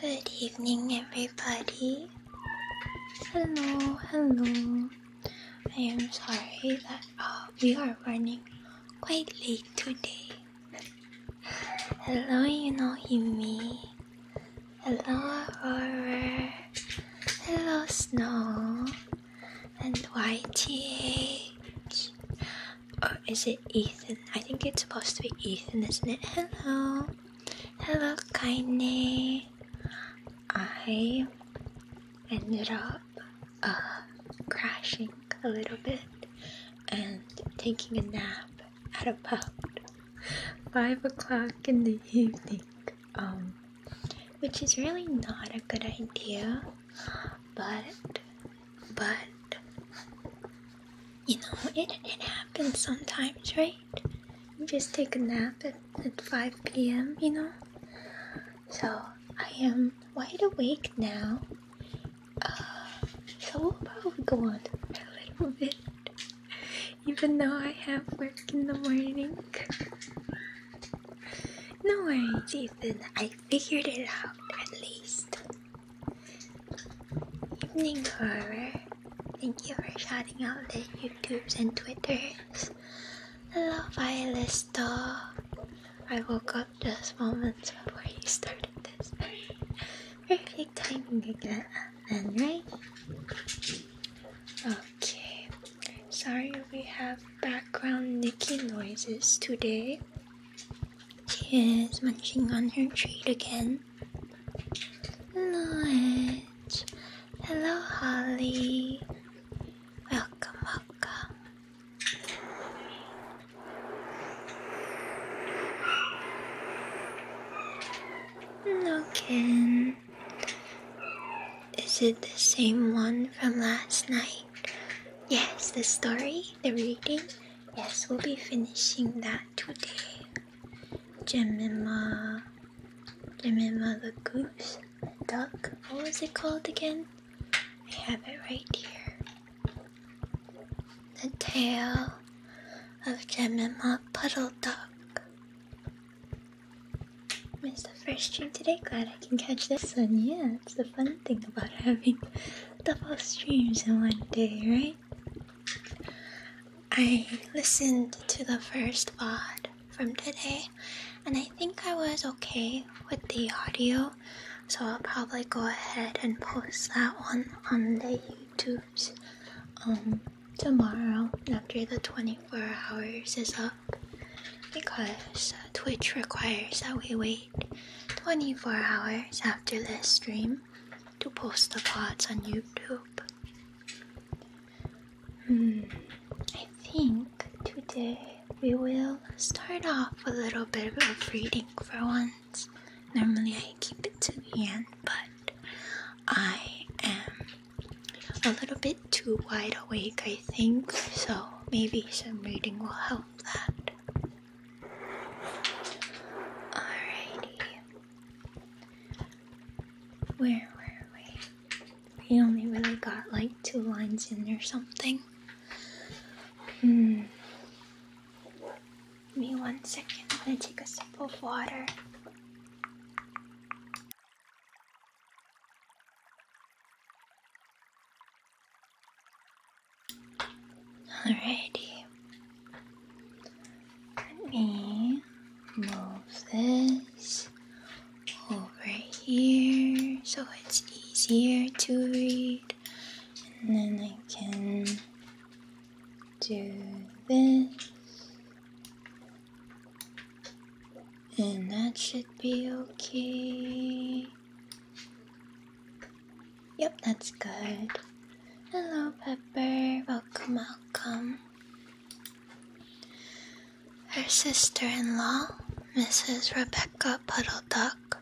Good evening, everybody. Hello, hello. I am sorry that uh, we are running quite late today. Hello, you know Yumi. Hello, Aurora. Hello, Snow. And YTH. Or is it Ethan? I think it's supposed to be Ethan, isn't it? Hello. Hello, Kaine. I ended up crashing a little bit and taking a nap at about five o'clock in the evening, um, which is really not a good idea. But, but, you know, it it happens sometimes, right? You just take a nap at, at five p.m. You know, so I am wide awake now uh, so we'll probably go on a little bit, even though I have work in the morning. No worries, Ethan. I figured it out at least. Evening horror. Thank you for shouting out the YouTubes and Twitters. Hello, Violesto. I woke up just moments before you started this. Perfect timing again, and right? Okay. Sorry we have background Nikki noises today. She is munching on her treat again. Noet. Hello, Holly. Welcome, welcome. Okay. Is it the same one from last night? Yes, the story, the reading. Yes, we'll be finishing that today. Jemima. Jemima the goose? Duck? What was it called again? I have it right here. The tail of Jemima Puddle Duck. It's the first stream today. Glad I can catch this one. Yeah, it's the fun thing about having double streams in one day, right? I listened to the first pod from today and I think I was okay with the audio so I'll probably go ahead and post that one on the YouTubes um, tomorrow after the 24 hours is up because Twitch requires that we wait 24 hours after the stream to post the pods on YouTube. Hmm, I think today we will start off a little bit of reading for once. Normally I keep it to the end, but I am a little bit too wide awake, I think, so maybe some reading will help that. Alrighty. Where were we? We only really got like two lines in or something. Hmm me one second. I'm gonna take a sip of water. Alrighty. Let me move this over here so it's easier to read and then I can do this and that should be okay yep that's good hello pepper welcome welcome her sister-in-law mrs rebecca puddle duck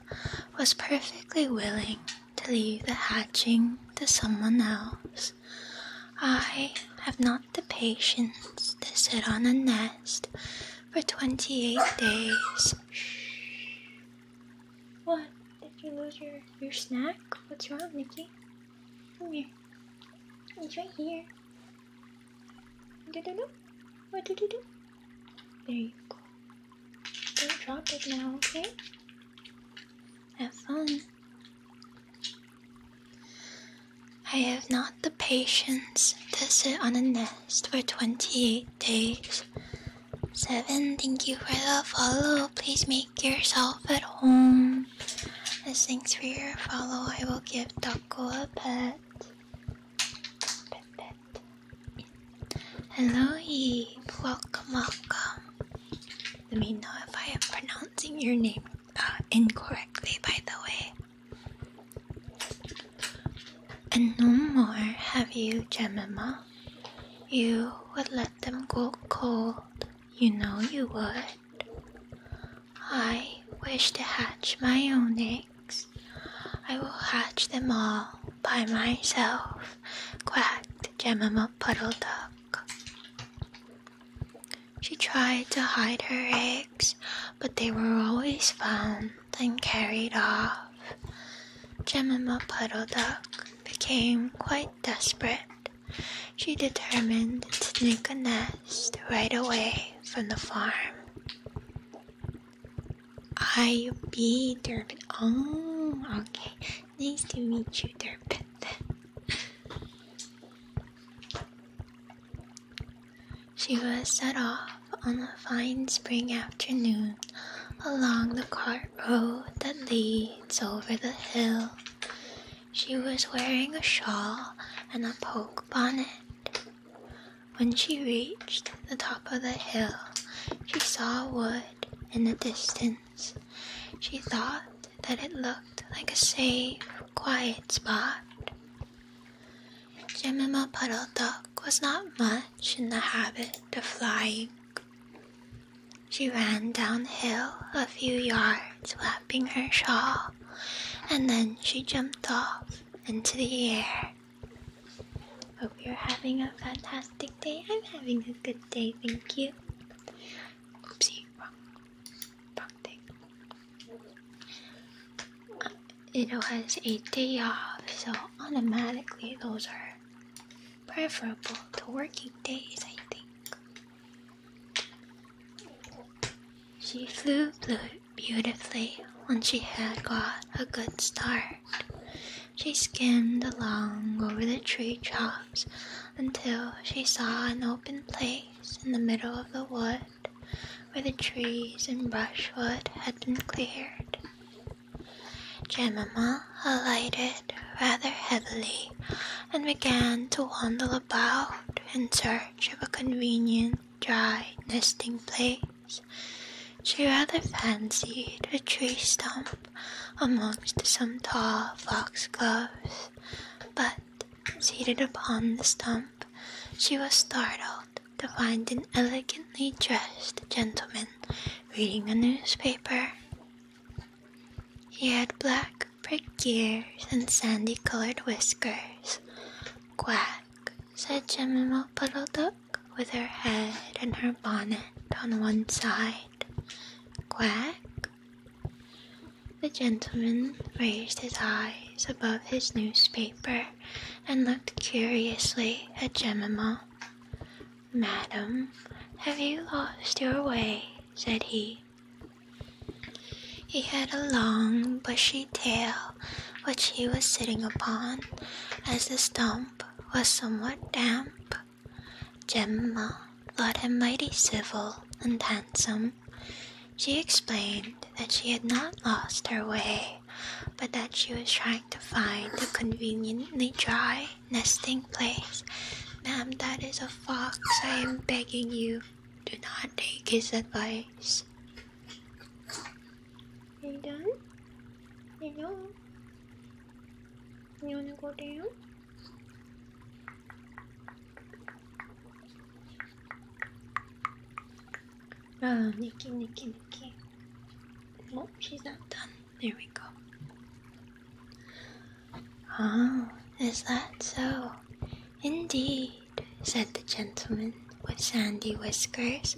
was perfectly willing to leave the hatching to someone else. I have not the patience to sit on a nest for 28 days. What? Did you lose your, your snack? What's wrong, Nikki? Come here. It's right here. Do do do. What do do do? There you go. Don't drop it now, okay? Have fun. I have not the patience to sit on a nest for 28 days. 7. Thank you for the follow. Please make yourself at home. As thanks for your follow, I will give Taco a pet. pet, pet. Hello, Eve. Welcome, welcome. Let me know if I am pronouncing your name uh, incorrectly, by the way. And no more have you, Gemma, You would let them go cold. You know you would. I wish to hatch my own eggs. I will hatch them all by myself mouth, quacked Jemima Puddle Duck. She tried to hide her eggs, but they were always found and carried off. Jemima Puddle Duck became quite desperate. She determined to make a nest right away from the farm i you be Durban? Oh, okay. Nice to meet you, Durban. she was set off on a fine spring afternoon along the cart road that leads over the hill. She was wearing a shawl and a poke bonnet. When she reached the top of the hill, she saw a wood in the distance. She thought that it looked like a safe, quiet spot. Jemima Puddle Duck was not much in the habit of flying. She ran downhill a few yards, flapping her shawl, and then she jumped off into the air. Hope you're having a fantastic day. I'm having a good day, thank you. Oopsie, wrong, wrong thing. Uh, it was a day off, so automatically those are preferable to working days, I think. She flew beautifully when she had got a good start. She skimmed along over the tree tops until she saw an open place in the middle of the wood where the trees and brushwood had been cleared. Jemima alighted rather heavily and began to waddle about in search of a convenient dry nesting place. She rather fancied a tree stump amongst some tall foxgloves, but seated upon the stump, she was startled to find an elegantly dressed gentleman reading a newspaper. He had black pricked ears and sandy colored whiskers. Quack, said Jemima Puddle with her head and her bonnet on one side. Quack! The gentleman raised his eyes above his newspaper and looked curiously at Gemma. Madam, have you lost your way? said he. He had a long, bushy tail which he was sitting upon as a stump was somewhat damp. Gemma thought him mighty civil and handsome. She explained that she had not lost her way, but that she was trying to find a conveniently dry nesting place. Ma'am, that is a fox. I am begging you, do not take his advice. you done? you done? You wanna go down? Ah, um, Nikki, Nikki, Nikki. Oh, she's not done. There we go. Ah, is that so? Indeed, said the gentleman with sandy whiskers,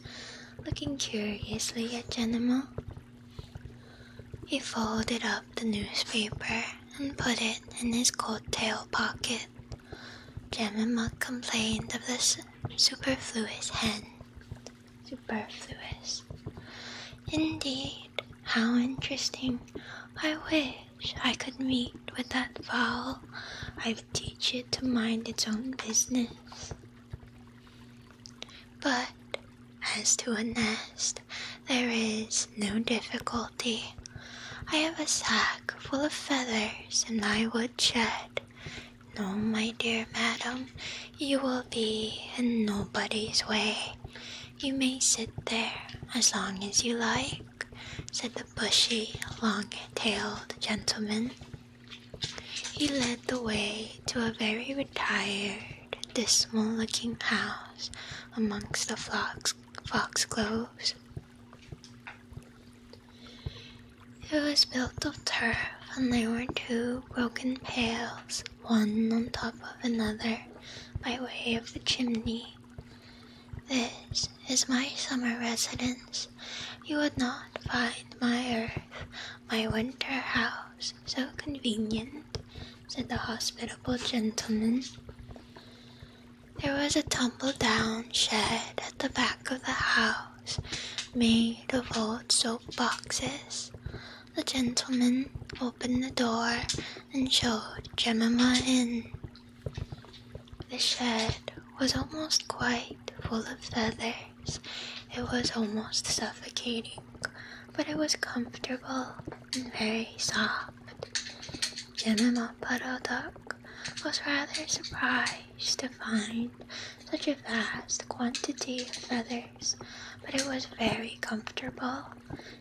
looking curiously at Genemal. He folded up the newspaper and put it in his coat tail pocket. Jemima complained of this superfluous hen. Superfluous. Indeed, how interesting. I wish I could meet with that fowl. I'd teach it to mind its own business. But as to a nest, there is no difficulty. I have a sack full of feathers in my woodshed. No, my dear madam, you will be in nobody's way. You may sit there as long as you like, said the bushy, long tailed gentleman. He led the way to a very retired, dismal looking house amongst the fox foxgloves. It was built of turf, and there were two broken pails, one on top of another, by way of the chimney. This is my summer residence. You would not find my earth my winter house, so convenient, said the hospitable gentleman. There was a tumble down shed at the back of the house, made of old soap boxes. The gentleman opened the door and showed Jemima in. The shed was almost quite full of feathers. It was almost suffocating, but it was comfortable and very soft. General Puddle Duck was rather surprised to find such a vast quantity of feathers, but it was very comfortable,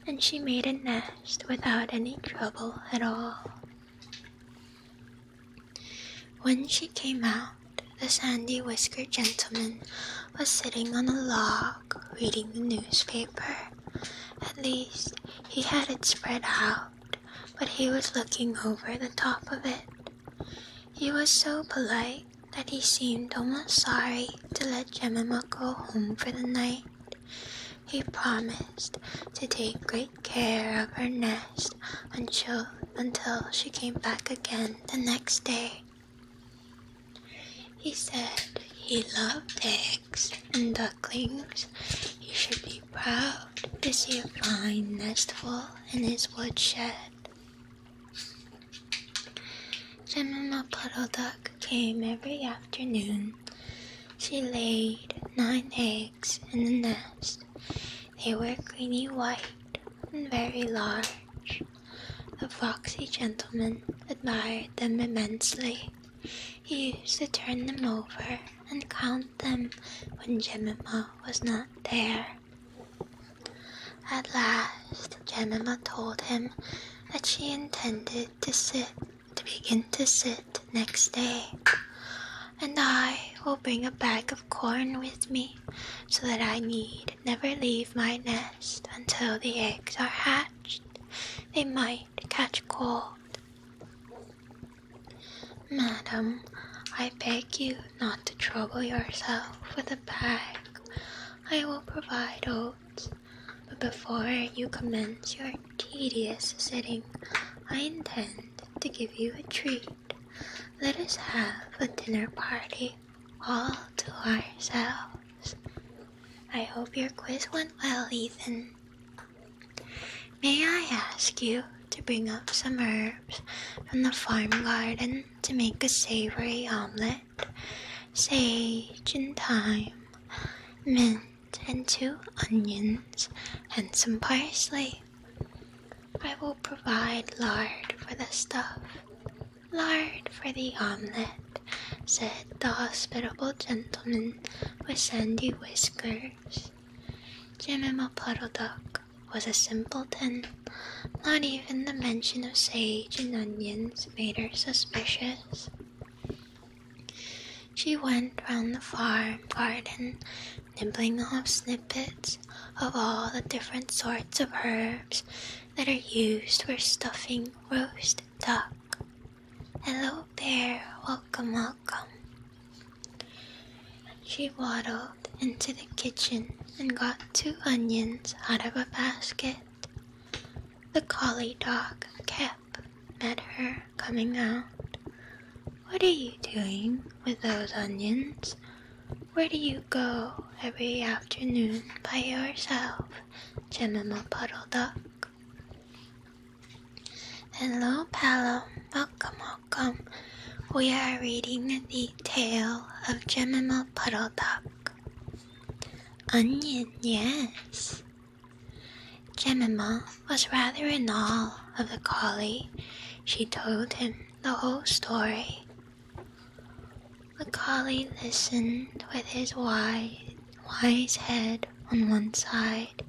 and she made a nest without any trouble at all. When she came out, the sandy whiskered gentleman was sitting on a log reading the newspaper. At least he had it spread out, but he was looking over the top of it. He was so polite that he seemed almost sorry to let Jemima go home for the night. He promised to take great care of her nest until, until she came back again the next day. He said he loved eggs and ducklings. He should be proud to see a fine nestful in his woodshed. Grandmama Puddle Duck came every afternoon. She laid nine eggs in the nest. They were creamy white and very large. The foxy gentleman admired them immensely. He used to turn them over and count them when Jemima was not there. At last, Jemima told him that she intended to sit, to begin to sit next day. And I will bring a bag of corn with me so that I need never leave my nest until the eggs are hatched. They might catch cold. Madam, I beg you not to trouble yourself with a bag. I will provide oats, but before you commence your tedious sitting, I intend to give you a treat. Let us have a dinner party all to ourselves. I hope your quiz went well, Ethan. May I ask you to bring up some herbs from the farm garden to make a savory omelet? Sage and thyme, mint and two onions, and some parsley. I will provide lard for the stuff. Lard for the omelette, said the hospitable gentleman with sandy whiskers. Jimimaputtle duck was a simpleton. Not even the mention of sage and onions made her suspicious. She went round the farm garden, nibbling off snippets of all the different sorts of herbs that are used for stuffing roast duck. Hello, bear, welcome, welcome. She waddled into the kitchen and got two onions out of a basket. The collie dog kept met her coming out. What are you doing with those onions? Where do you go every afternoon by yourself, Gemma Puddle Duck? Hello, Palo. Welcome, welcome. We are reading the tale of Gemma Puddle Duck. Onion, yes. Gemma was rather in awe of the collie. She told him the whole story. Macaulay listened with his wide, wise head on one side.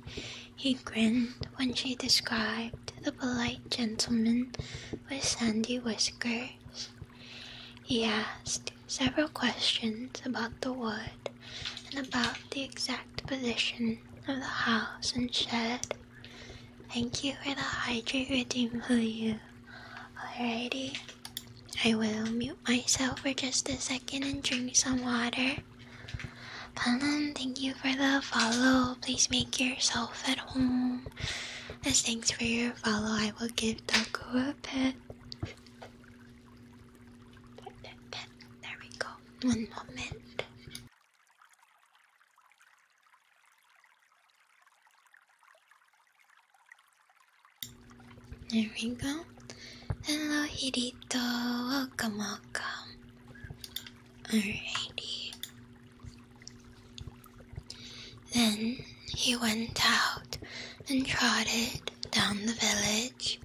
He grinned when she described the polite gentleman with sandy whiskers. He asked several questions about the wood and about the exact position of the house and shed. Thank you for the hydrate redeem, you. Alrighty, I will mute myself for just a second and drink some water. Palan, thank you for the follow. Please make yourself at home. As thanks for your follow, I will give Taku a pet. pet. There we go. One moment. There we go. Hello, Hirito. Welcome, welcome. Alrighty. Then he went out and trotted down the village.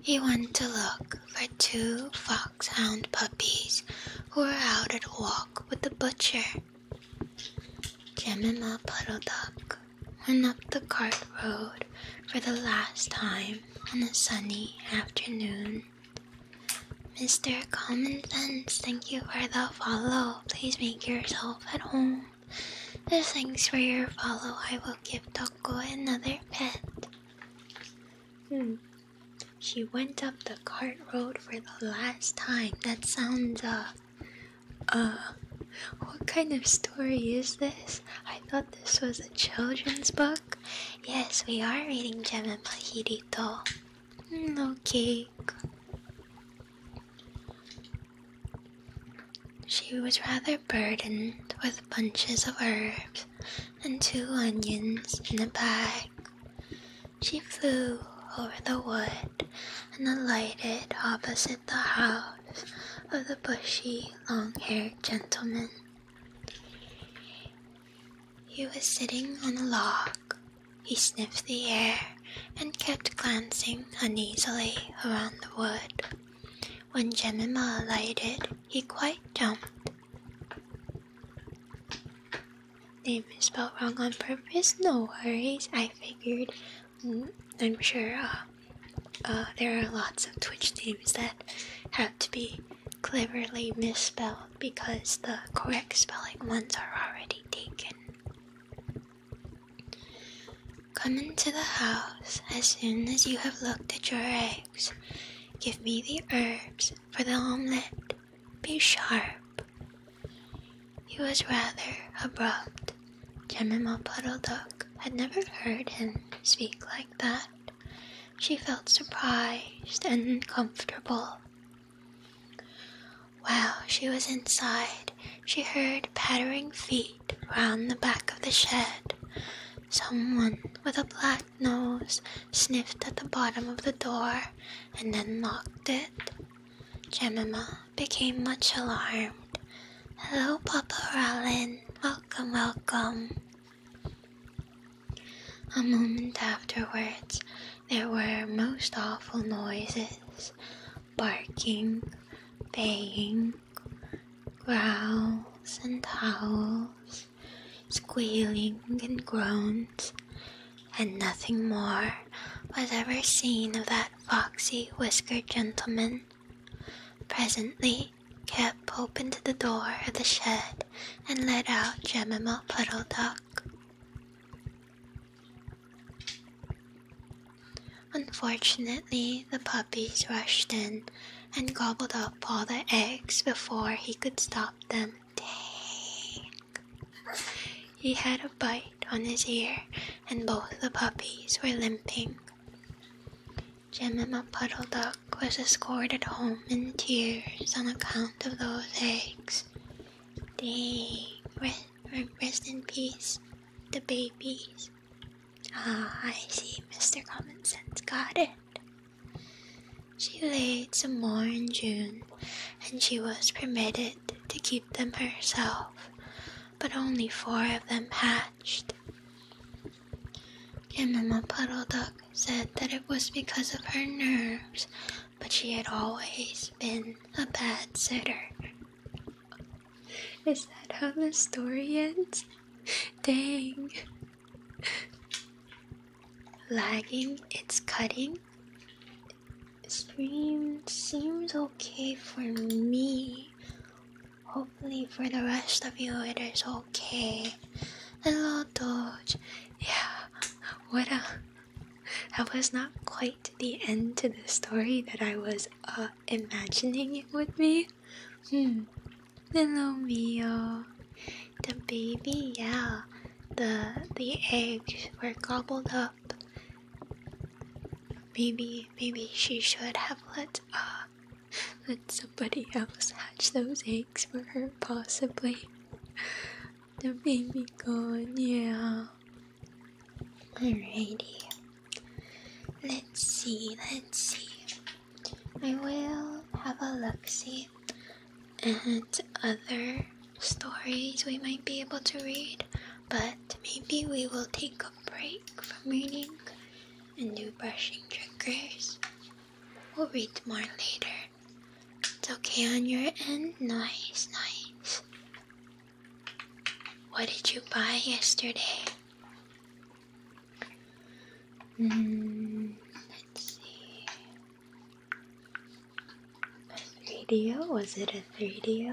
He went to look for two foxhound puppies who were out at a walk with the butcher. Jemima Duck went up the cart road for the last time on a sunny afternoon. Mr. Common Sense, thank you for the follow. Please make yourself at home. thanks for your follow, I will give Toko another pet. Hmm. She went up the cart road for the last time. That sounds, uh, uh, what kind of story is this? I thought this was a children's book. Yes, we are reading Gem and Pajirito. No hmm, cake. She was rather burdened with bunches of herbs and two onions in a bag. She flew over the wood and alighted opposite the house of the bushy, long haired gentleman. He was sitting on a log. He sniffed the air and kept glancing uneasily around the wood. When Jemima alighted, he quite jumped name is spelled wrong on purpose. No worries. I figured. Mm, I'm sure uh, uh, there are lots of Twitch names that have to be cleverly misspelled because the correct spelling ones are already taken. Come into the house as soon as you have looked at your eggs. Give me the herbs for the omelette. Be sharp he was rather abrupt. Jemima Puddle Duck had never heard him speak like that. She felt surprised and uncomfortable. While she was inside, she heard pattering feet round the back of the shed. Someone with a black nose sniffed at the bottom of the door and then locked it. Jemima became much alarmed. Hello, Papa Rowland! Welcome, welcome. A moment afterwards, there were most awful noises barking, baying, growls and howls, squealing and groans, and nothing more was ever seen of that foxy whiskered gentleman. Presently, Cap opened the door of the shed and let out Jemima Puddle Duck. Unfortunately, the puppies rushed in and gobbled up all the eggs before he could stop them. Dang. He had a bite on his ear, and both the puppies were limping. Jemima Puddle Duck was escorted home in tears on account of those eggs. Dang, rest, in peace, the babies. Ah, I see, Mr. Common Sense got it. She laid some more in June, and she was permitted to keep them herself, but only four of them hatched. And Kinama Puddle Duck said that it was because of her nerves, but she had always been a bad sitter. Is that how the story ends? Dang. Lagging, it's cutting stream seems okay for me. Hopefully, for the rest of you, it is okay. Hello, Doge. Yeah, what a. That was not quite the end to the story that I was uh, imagining it would be. Hmm. Hello, Mio. The baby, yeah. The the eggs were gobbled up. Maybe, maybe she should have let uh, let somebody else hatch those eggs for her, possibly. The baby gone, yeah. Alrighty. Let's see, let's see. I will have a look see and other stories we might be able to read but maybe we will take a break from reading and do brushing triggers. We'll read more later. It's okay on your end. Nice, nice. What did you buy yesterday? Mm, let's see. 3 D? Was it a 3 D?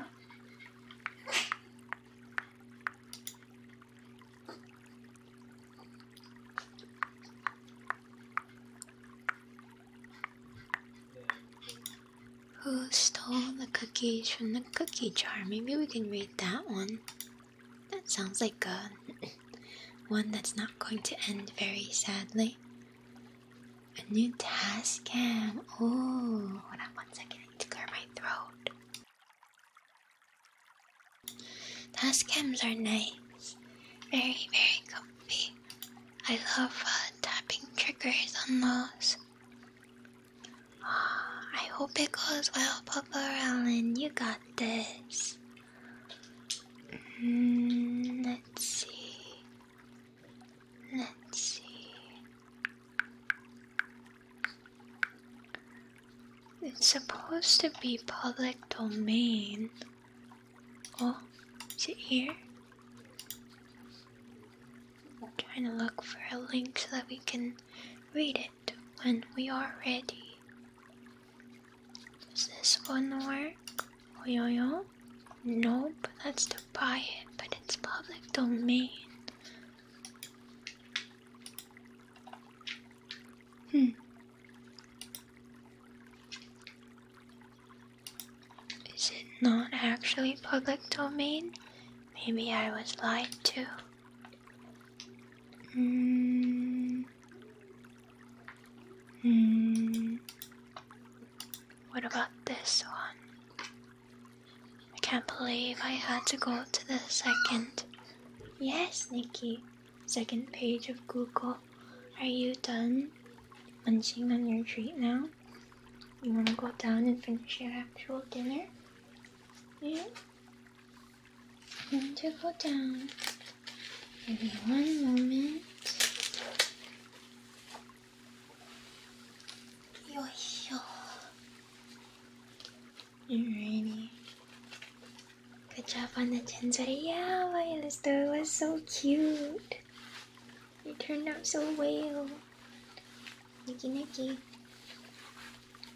Who stole the cookies from the cookie jar? Maybe we can read that one. That sounds like a one that's not going to end very sadly. A new task cam. Oh, hold on one second. I need to clear my throat. Task cams are nice. Very, very comfy. I love uh, tapping triggers on those. Oh, I hope it goes well, Papa Allen. You got this. Mm, let's see. Let's see. It's supposed to be public domain. Oh, is it here? I'm trying to look for a link so that we can read it when we are ready. Is this one work? Oyoyo? Nope, that's to buy it, but it's public domain. Hmm. Is it not actually public domain? Maybe I was lied to. Hmm. Hmm. What about this one? I can't believe I had to go to the second. Yes, Nikki. Second page of Google. Are you done munching on your treat now? You want to go down and finish your actual dinner? Yeah. Want to go down. Give me one moment. よいしょ Alrighty. Good job on the chinza. Yeah, Violet's door was so cute. It turned out so well. Nicky Nicky.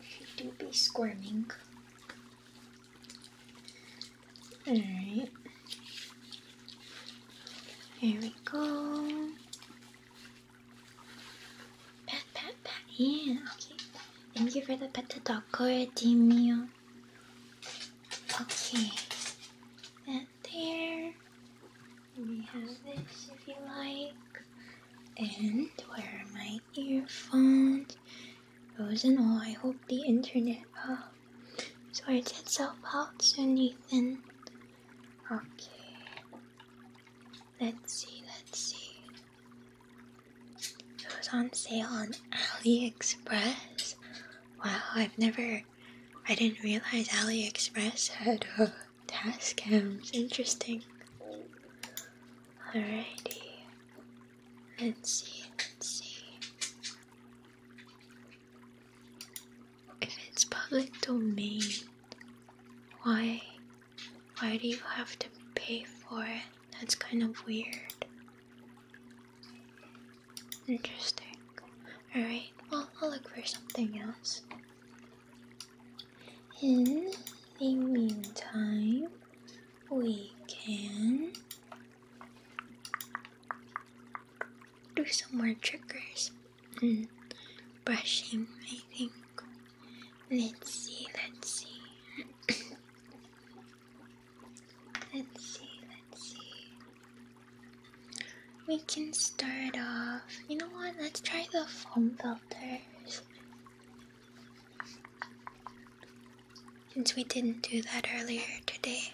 She do be squirming. Alright. Here we go. Pat, pat, pat. Yeah, okay. Thank you for the pet dog, Dimio. Okay. And there. We have this if you like. And where are my earphones? and all. I hope the internet oh, sorts itself out soon, Nathan. Okay. Let's see, let's see. It was on sale on AliExpress. Wow, I've never. I didn't realize AliExpress had uh, task cams. Interesting. Alrighty. Let's see, let's see if it's public domain, why why do you have to pay for it? That's kind of weird. Interesting. Alright, I'll look for something else. In the meantime, we can do some more tricks. Mm, brushing, I think. Let's see, let's see. let's see, let's see. We can start off. You know what? Let's try the foam filters. Since we didn't do that earlier today.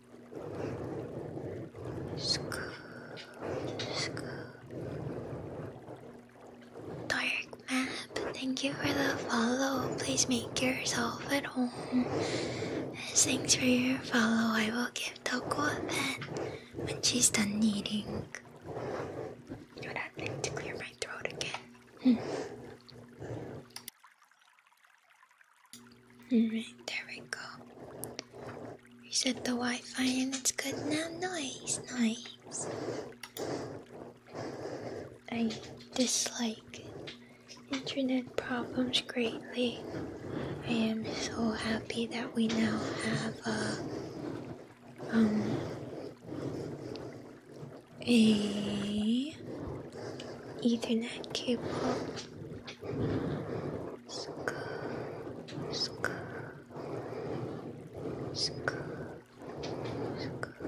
Scoop, thank you for the follow. Please make yourself at home. thanks for your follow, I will give Toko a pet when she's done eating. You know what I to clear my throat again. Hmm. Alright, there we go. We set the Wi-Fi and it's good now. Nice, nice. I dislike internet problems greatly. I am so happy that we now have a uh, um a Ethernet cable Scar, scar, scar, scar.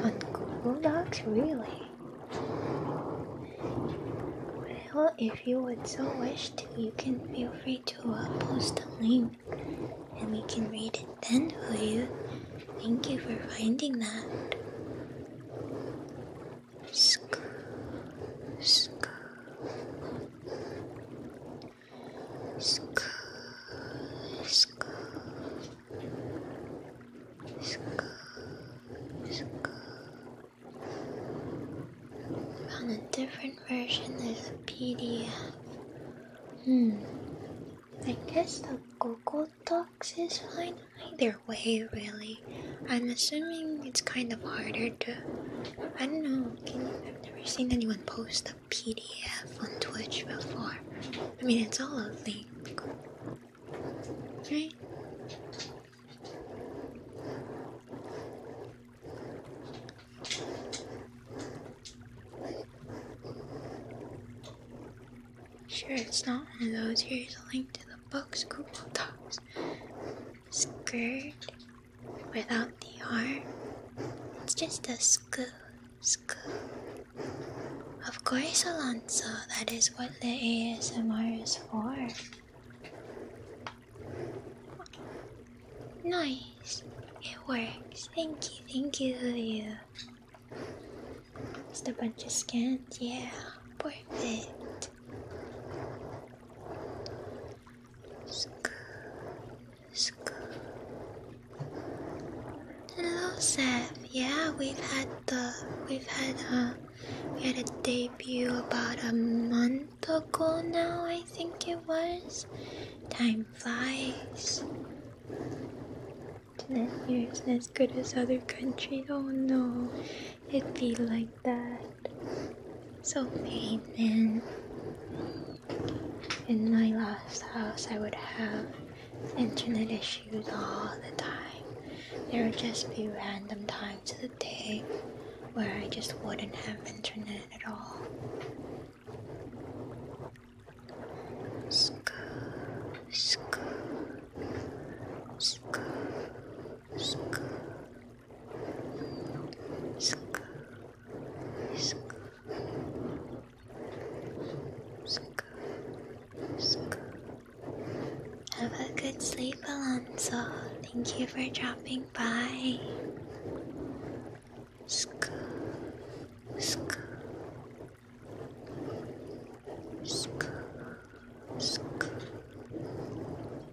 One cool dog, really? Well, if you would so wish to, you can feel free to uh, post a link and we can read it then for you. Thank you for finding that. Scoop, scoop, scoop, scoop, scoop, Found a different version there's a PDF. Hmm. I guess the Google Docs is fine either way, really. I'm assuming it's kind of harder to. I don't know, I've never seen anyone post a PDF on Twitch before. I mean, it's all a link, right? Sure, it's not one of those. Here's a link to the books Google Docs skirt without the arm. It's just a scoo, scoo. Of course, Alonso, that is what the ASMR is for. Nice. It works. Thank you, thank you, Lilia. Just a bunch of scans. Yeah, perfect. Hello, Seth. Yeah, we've had the we've had a uh, we had a debut about a month ago now. I think it was. Time flies. It's not here. not as good as other countries. Oh, not know. it'd be like that. So amen. In my last house, I would have internet issues all the time. There would just be random times of the day where I just wouldn't have internet at all. School, school, school, school. Have a good sleep, Alonso. Thank you for dropping by.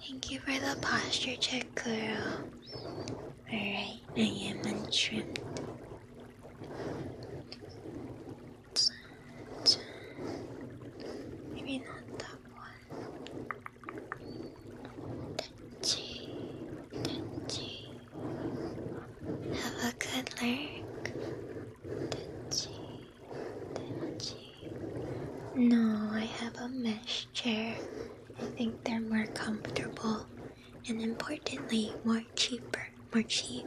Thank you for the posture check, girl. Alright, I am untrimmed maybe not that one. Touchy, touchy. Have a good look. Touchy, touchy. No, I have a mesh chair. I think they're more comfortable and importantly, more cheaper, more cheap.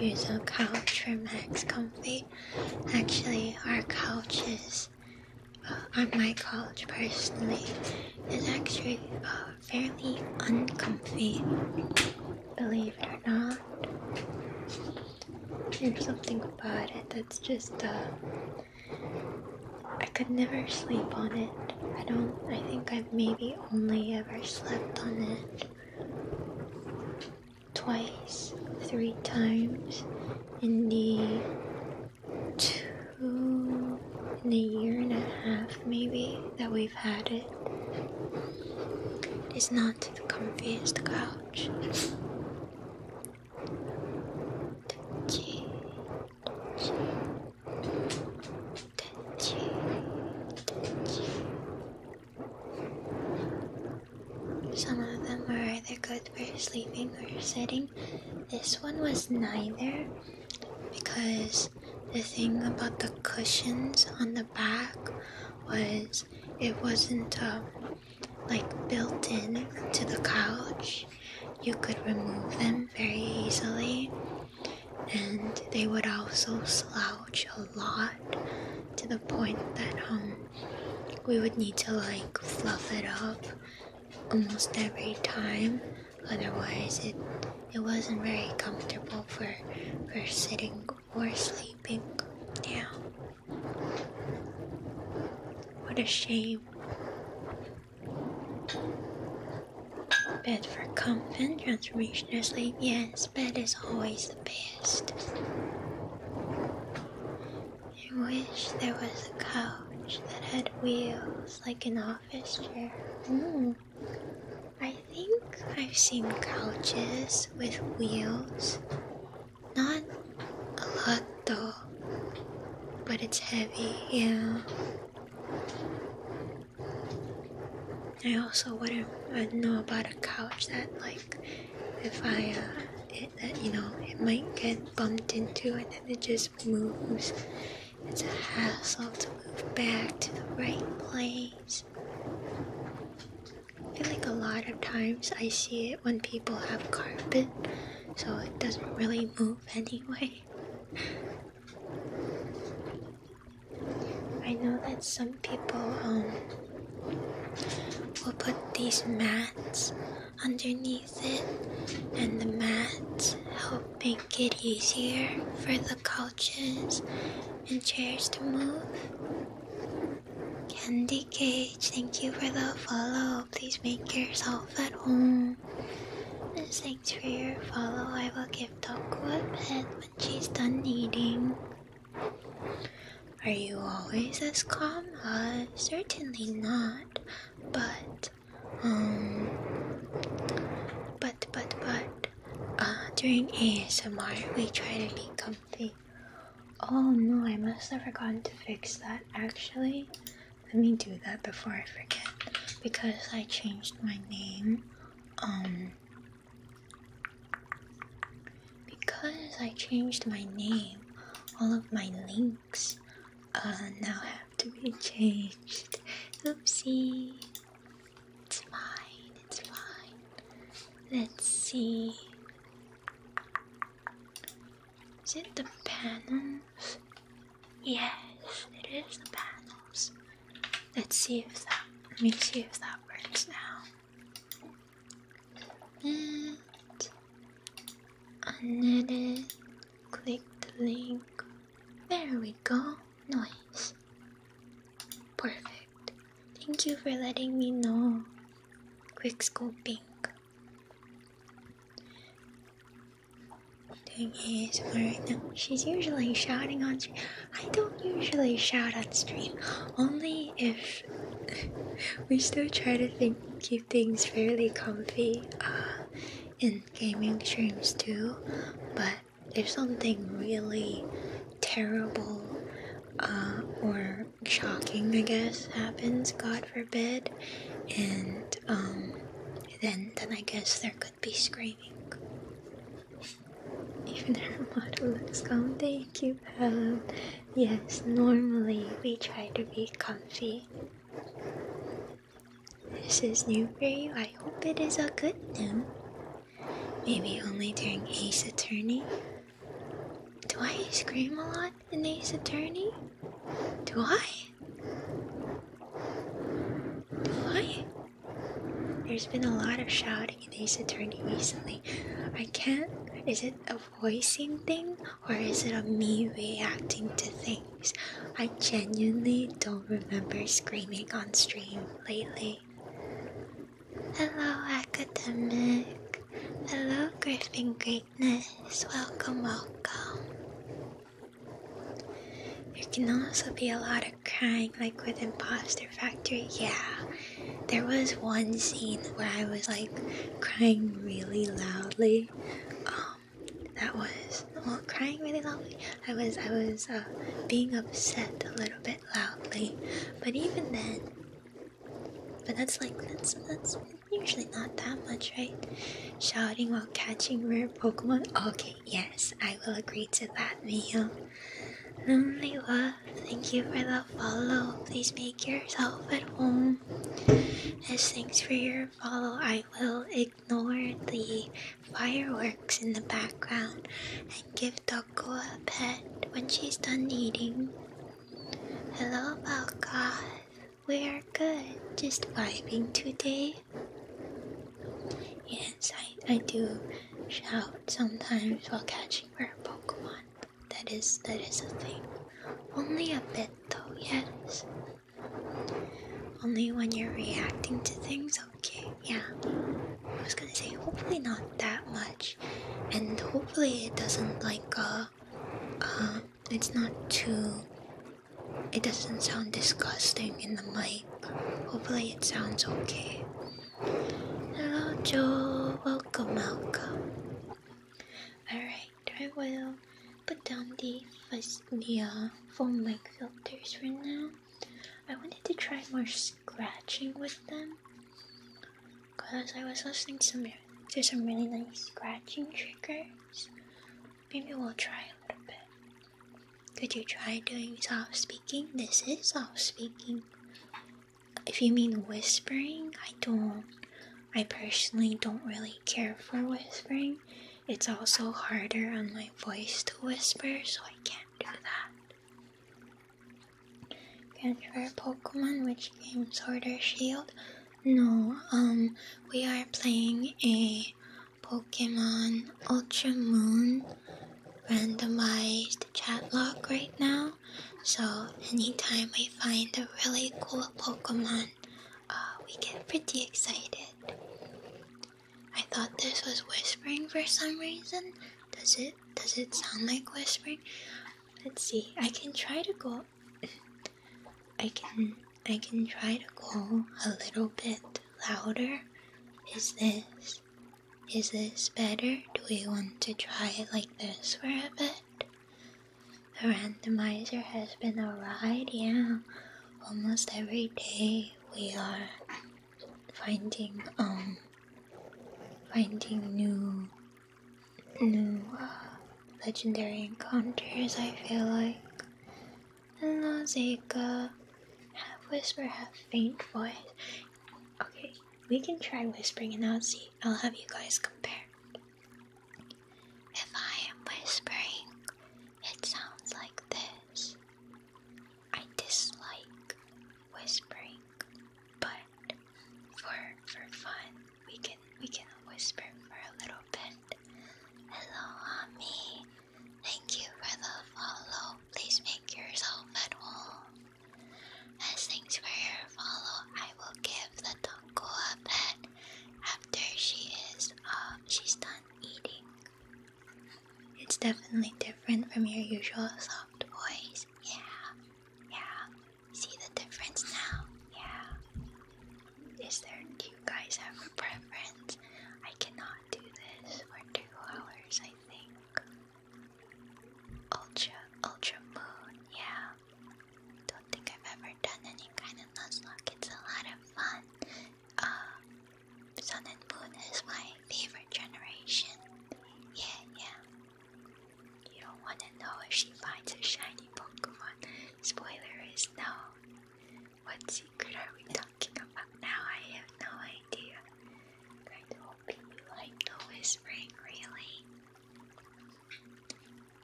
Use a couch for max comfy. Actually, our couch is, uh, my couch personally, is actually uh, fairly uncomfy, believe it or not. There's something about it that's just, uh, I could never sleep on it. I don't, I think I've maybe only ever slept on it twice, three times in the two in a year and a half maybe that we've had it. It's not the comfiest couch. Some of them are either good for sleeping or sitting. This one was neither, because the thing about the cushions on the back was it wasn't um, like built in to the couch. You could remove them very easily, and they would also slouch a lot to the point that um, we would need to like fluff it up almost every time Otherwise, it it wasn't very comfortable for for sitting or sleeping. Yeah. What a shame. Bed for comfort, transformational sleep. Yes, bed is always the best. I wish there was a couch that had wheels like an office chair. Mm. I think I've seen couches with wheels. Not a lot though, but it's heavy, yeah. I also wouldn't uh, know about a couch that like if I uh, that uh, you know it might get bumped into and then it just moves it's a hassle to move back to the right place. I feel like a lot of times I see it when people have carpet, so it doesn't really move anyway. I know that some people um, will put these mats underneath it, and the mats help make it easier for the color and chairs to move. Candy Cage, thank you for the follow. Please make yourself at home. thanks for your follow. I will give Toku a pet when she's done eating. Are you always as calm? Uh, certainly not. But, um, but but but but uh, during ASMR we try to be comfy. Oh no, I must have forgotten to fix that actually. Let me do that before I forget because I changed my name. Um because I changed my name, all of my links uh, now have to be changed. Oopsie. It's fine, it's fine. Let's see. Is it the panels? Yes, it is the panels. Let's see if that let me see if that works now. And unedited, click the link. There we go. Nice. Perfect. Thank you for letting me know. Quick scoping. Doing ASMR right now. She's usually shouting on stream. I don't usually shout on stream. Only if we still try to keep things fairly comfy uh, in gaming streams too. But if something really terrible uh, or shocking, I guess, happens, God forbid, and um, then then I guess there could be screaming. Even her model looks calm. Thank you, Yes, normally we try to be comfy. This is new for you. I hope it is a good new. Maybe only during Ace Attorney. Do I scream a lot in Ace Attorney? Do I? Do I? There's been a lot of shouting in Ace Attorney recently. I can't. Is it a voicing thing or is it a me reacting to things? I genuinely don't remember screaming on stream lately. Hello, academic. Hello, Griffin Greatness. Welcome, welcome. There can also be a lot of crying, like with Imposter Factory. Yeah, there was one scene where I was like crying really loudly. Um, that was well, crying really loudly. I was I was uh, being upset a little bit loudly, but even then, but that's like that's that's usually not that much, right? Shouting while catching rare Pokemon. Okay, yes, I will agree to that, Mio. Lonely love, thank you for the follow. Please make yourself at home. As thanks for your follow, I will ignore the fireworks in the background and give Doko a pet when she's done eating. Hello, Balgoth. We are good, just vibing today. Yes, I, I do shout sometimes while catching rare Pokemon. That is that is a thing. Only a bit though, yes. Only when you're reacting to things okay. Yeah. I was gonna say hopefully not that much. And hopefully it doesn't like uh uh it's not too it doesn't sound disgusting in the mic. Hopefully it sounds okay. Hello Joe, welcome, welcome. Alright, I will put down the, the foam uh, mic filters for now. I wanted to try more scratching with them because I was listening to some really nice scratching triggers. Maybe we'll try a little bit. Could you try doing soft speaking? This is soft speaking. If you mean whispering, I don't. I personally don't really care for whispering. It's also harder on my voice to whisper, so I can't do that. Transfer Pokemon, which game? Sword or Shield? No, um, we are playing a Pokemon Ultra Moon randomized chat log right now. So anytime we find a really cool Pokemon, uh, we get pretty excited. I thought this was whispering for some reason. Does it does it sound like whispering? Let's see. I can try to go I can I can try to go a little bit louder. Is this is this better? Do we want to try it like this for a bit? The randomizer has been a ride, yeah. Almost every day we are finding um finding new new uh, legendary encounters. I feel like and there's Have whisper, have faint voice. Okay, we can try whispering, and i see. I'll have you guys compare. If I am whispering, it sounds like this. I dislike whispering, but for for fun, we can we can whisper for a little bit. Hello, mommy. Thank you for the follow. Please make yourself at home. As thanks for your follow, I will give the Tonko a pet after she is uh she's done eating. It's definitely different from your usual soft voice. Yeah, yeah. See the difference now? Yeah. Is there, do guys have a preference? I cannot do this for two hours, I think. Ultra, ultra moon, yeah. Don't think I've ever done any kind of nuzlocke. It's a lot of fun uh, Sun and Moon is my favorite generation. Yeah, yeah. You don't want to know if she finds a shiny Pokemon. Spoiler is no. What secret are we talking about now? I have no idea. I'm hoping you like the whispering, really.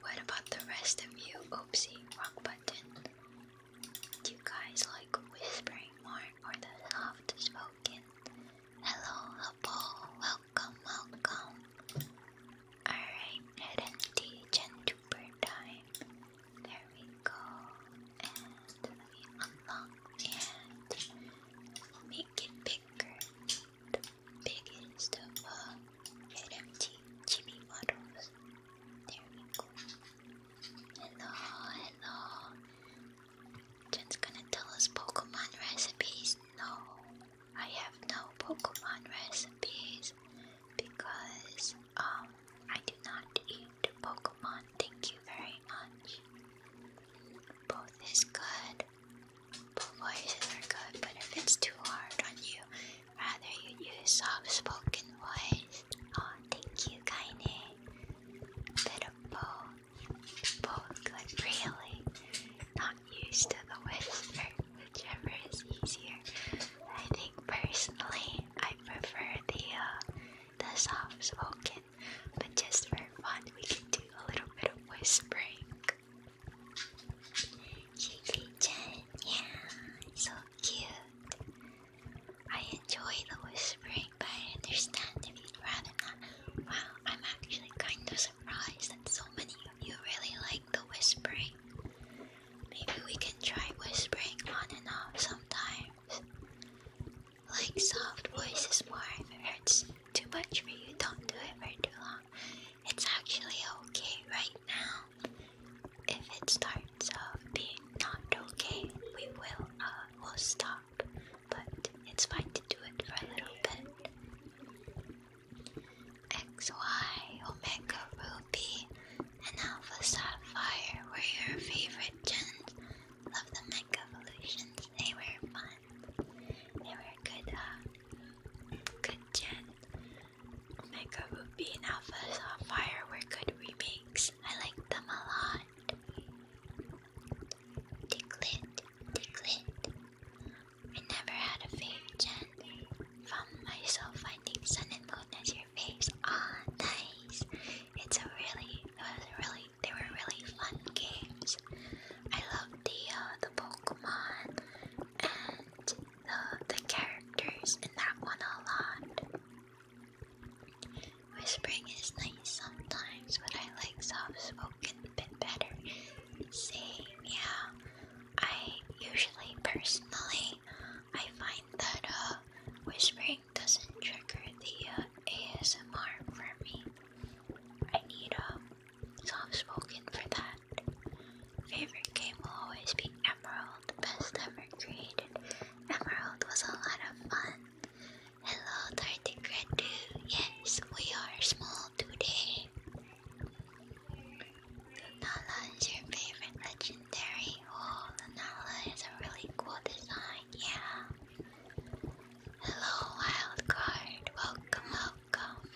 What about the rest of you? Oopsie, rock button. Do you guys like whispering more or the soft spoken? Hello, Hubble. Welcome, welcome. Alright, head empty, Gentuber time. There we go. And let me unlock and make it bigger. The biggest of all. empty, chibi models. There we go. Hello, hello. Jen's gonna tell us Pokemon recipes. No, I have no Pokemon recipes because um I do not eat Pokemon. Thank you very much. Both is good. Both voices are good, but if it's too hard on you, rather you use soft spoken voice. Oh, thank you, Kaine bit of both. really not used to the whisper, whichever is easier. I think personally, I prefer the uh, the soft spoken, but just for fun, we can do a little bit of whispering. Chicky Chen, yeah, so cute. I enjoy the whispering, but I understand if you'd rather not. Wow, I'm actually kind of surprised that so many of you really like the whispering. Maybe we can try whispering on and off sometimes. Like soft voices more if it hurts too much for you, don't do it for too long. It's actually okay right now. If it starts off being not okay, we will uh, we'll stop but it's fine to do it for a little bit. XY, Omega Ruby, and Alpha Sapphire were your favorite gems. Love the Mega Evolutions, they were fun. They were good, uh, good gems. Omega Ruby and Alpha Sapphire were good remakes. I liked them a lot. Ticklet, ticklet. I never had a fave, Jen. Found myself finding sun and moon as your faves. Ah, nice. It's a really, it was really, they were really fun games. I love the uh, the Pokemon and the the characters in that one a lot. Whispering is nice sometimes, but I like soft spoken a bit better. See, yeah. I usually, personally, I find that uh, whispering doesn't trigger the uh, ASMR for me. I need a uh, soft spoken for that. Favorite game will always be Emerald, best ever created. Emerald was a lot of fun. Hello, Dirty Gradu. Yes, we are small today. Lunala is your favorite legendary. Oh, Lunala is a really cool design, yeah. Hello, Wildcard. Welcome, welcome.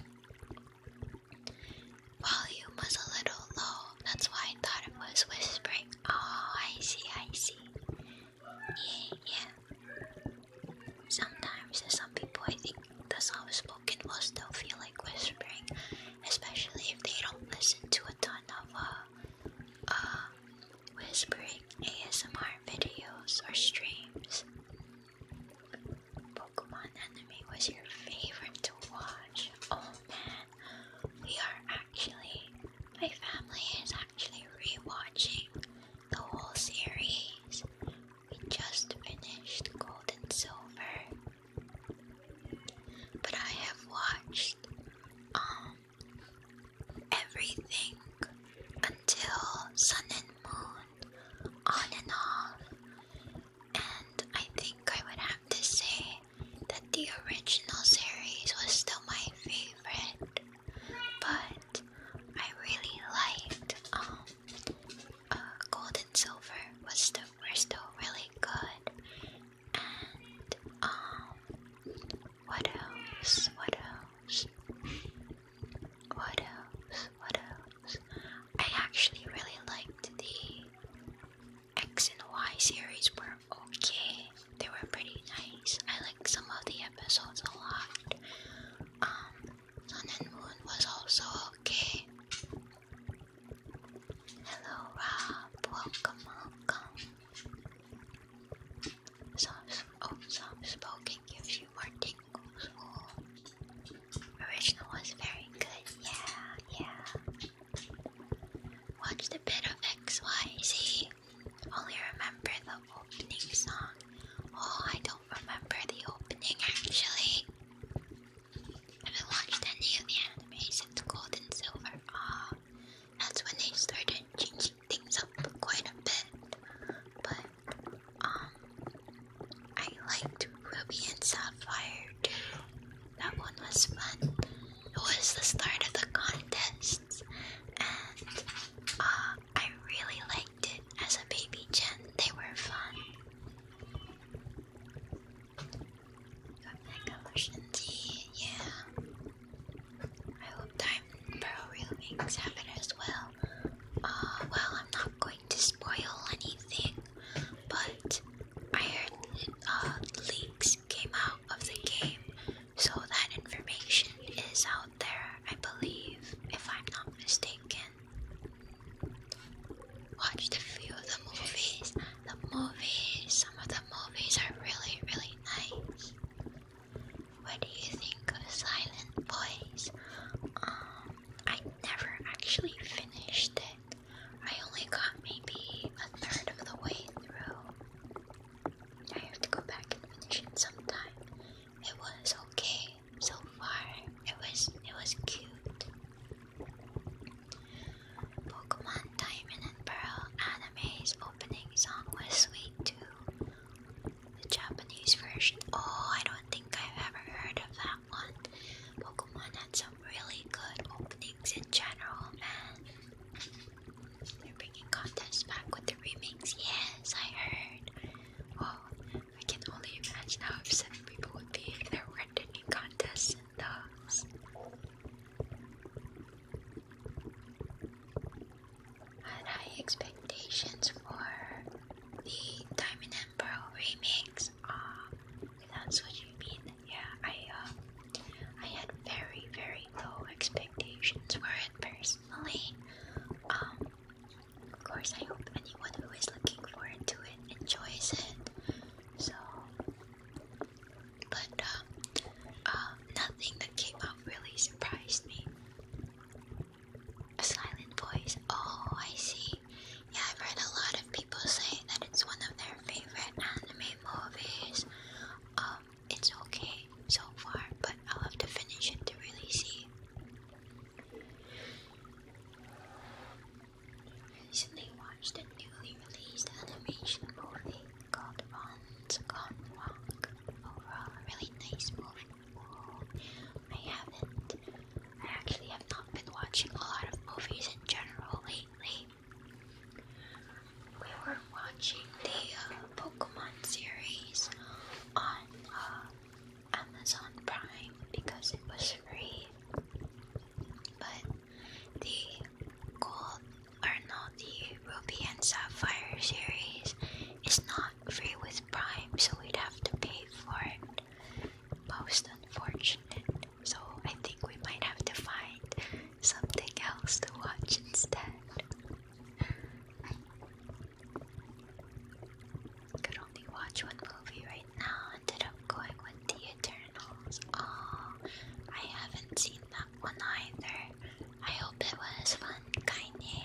Volume was a little low, that's why I thought it was whispering. Oh, I see, I see. Yeah. Sometimes there's some people I think the soft spoken don't feel like whispering, especially if they don't listen to a ton of uh, uh whispering ASMR videos or streams. Pokemon anime was your favorite to watch. Oh man, we are actually my family is actually rewatching the whole series. We just finished Gold and Silver. But I have watched um everything until Sun and Moon on and off. And I think I would have to say that the original series was still my favorite but I really liked um uh, gold and silver was still were still really good and um what else what else what else what else I actually really liked the X and Y series where okay. They were pretty nice. I like some of the episodes a lot. Um, Sun and Moon was also okay. Hello, Rob. Welcome, welcome. Soft, oh, soft spoken gives you more tingles. Oh. Original was very good. Yeah, yeah. Watched a bit of XYZ only remember the opening song. Oh, I don't remember the opening actually. I haven't watched any of the animations, Gold and Silver. Ah, that's when they started changing things up quite a bit. But um, I liked Ruby and Sapphire too. That one was fun. It was the start of the contests, and uh, I really liked it as a baby Jen, They were fun. yeah. I hope Diamond Pearl Remakes have it as well. Uh, well, I'm not going to spoil anything, but I heard uh, leaks came out of the game so that information is out there, I believe, if I'm not mistaken. Watched a few of the movies. The movies, some of the movies are really, really nice. What do you think of Silent Boys? Um, I never actually finished it. I only got maybe a third of the way through. I have to go back and finish it sometime. It was okay so far. It was it was cute. Pokemon Diamond and Pearl anime's opening song was sweet too. The Japanese version. Oh, I don't think I've ever heard of that one. Pokemon had some really good openings in general, they're bringing contest back with the remakes. Yes, I heard. Wow, oh, I can only imagine how upset people would be if they weren't any contests in those. I high expectations for the Diamond and Pearl remakes. Ah, if that's what you mean. Yeah, I um, I had very very low expectations for it first. Um, of course, I hope anyone who is looking forward to it enjoys it. So, but um, uh, nothing that came out really surprised me. A silent voice. Oh, I see. Yeah, I've heard a lot of people say that it's one of their favorite anime movies. Um, it's okay so far, but I'll have to finish it to really see. recently watched a newly released animation movie called Ron's Gone Walk. Overall, really nice movie. Oh, haven't. I actually have not been watching a lot of movies in general lately we were watching the uh, Pokemon series on uh, Amazon Prime because it was free. But the Gold, or the Ruby and Sapphire series is not free with Prime, so we'd have to pay for it. Most unfortunate. So I think we might have to find something else to watch instead could only watch one movie right now. Ended up going with The Eternals. Oh, I haven't seen that one either. I hope it was fun, Kaine.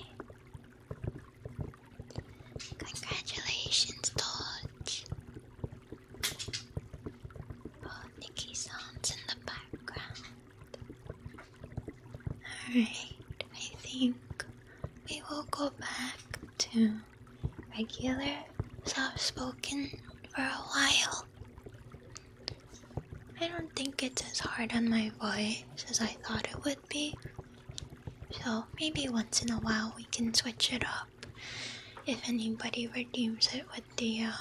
Congratulations, Dodge. Oh, Nikki in the background. Alright, I think we will go back to regular soft spoken for a while. I don't think it's as hard on my voice as I thought it would be. So maybe once in a while we can switch it up if anybody redeems it with the uh,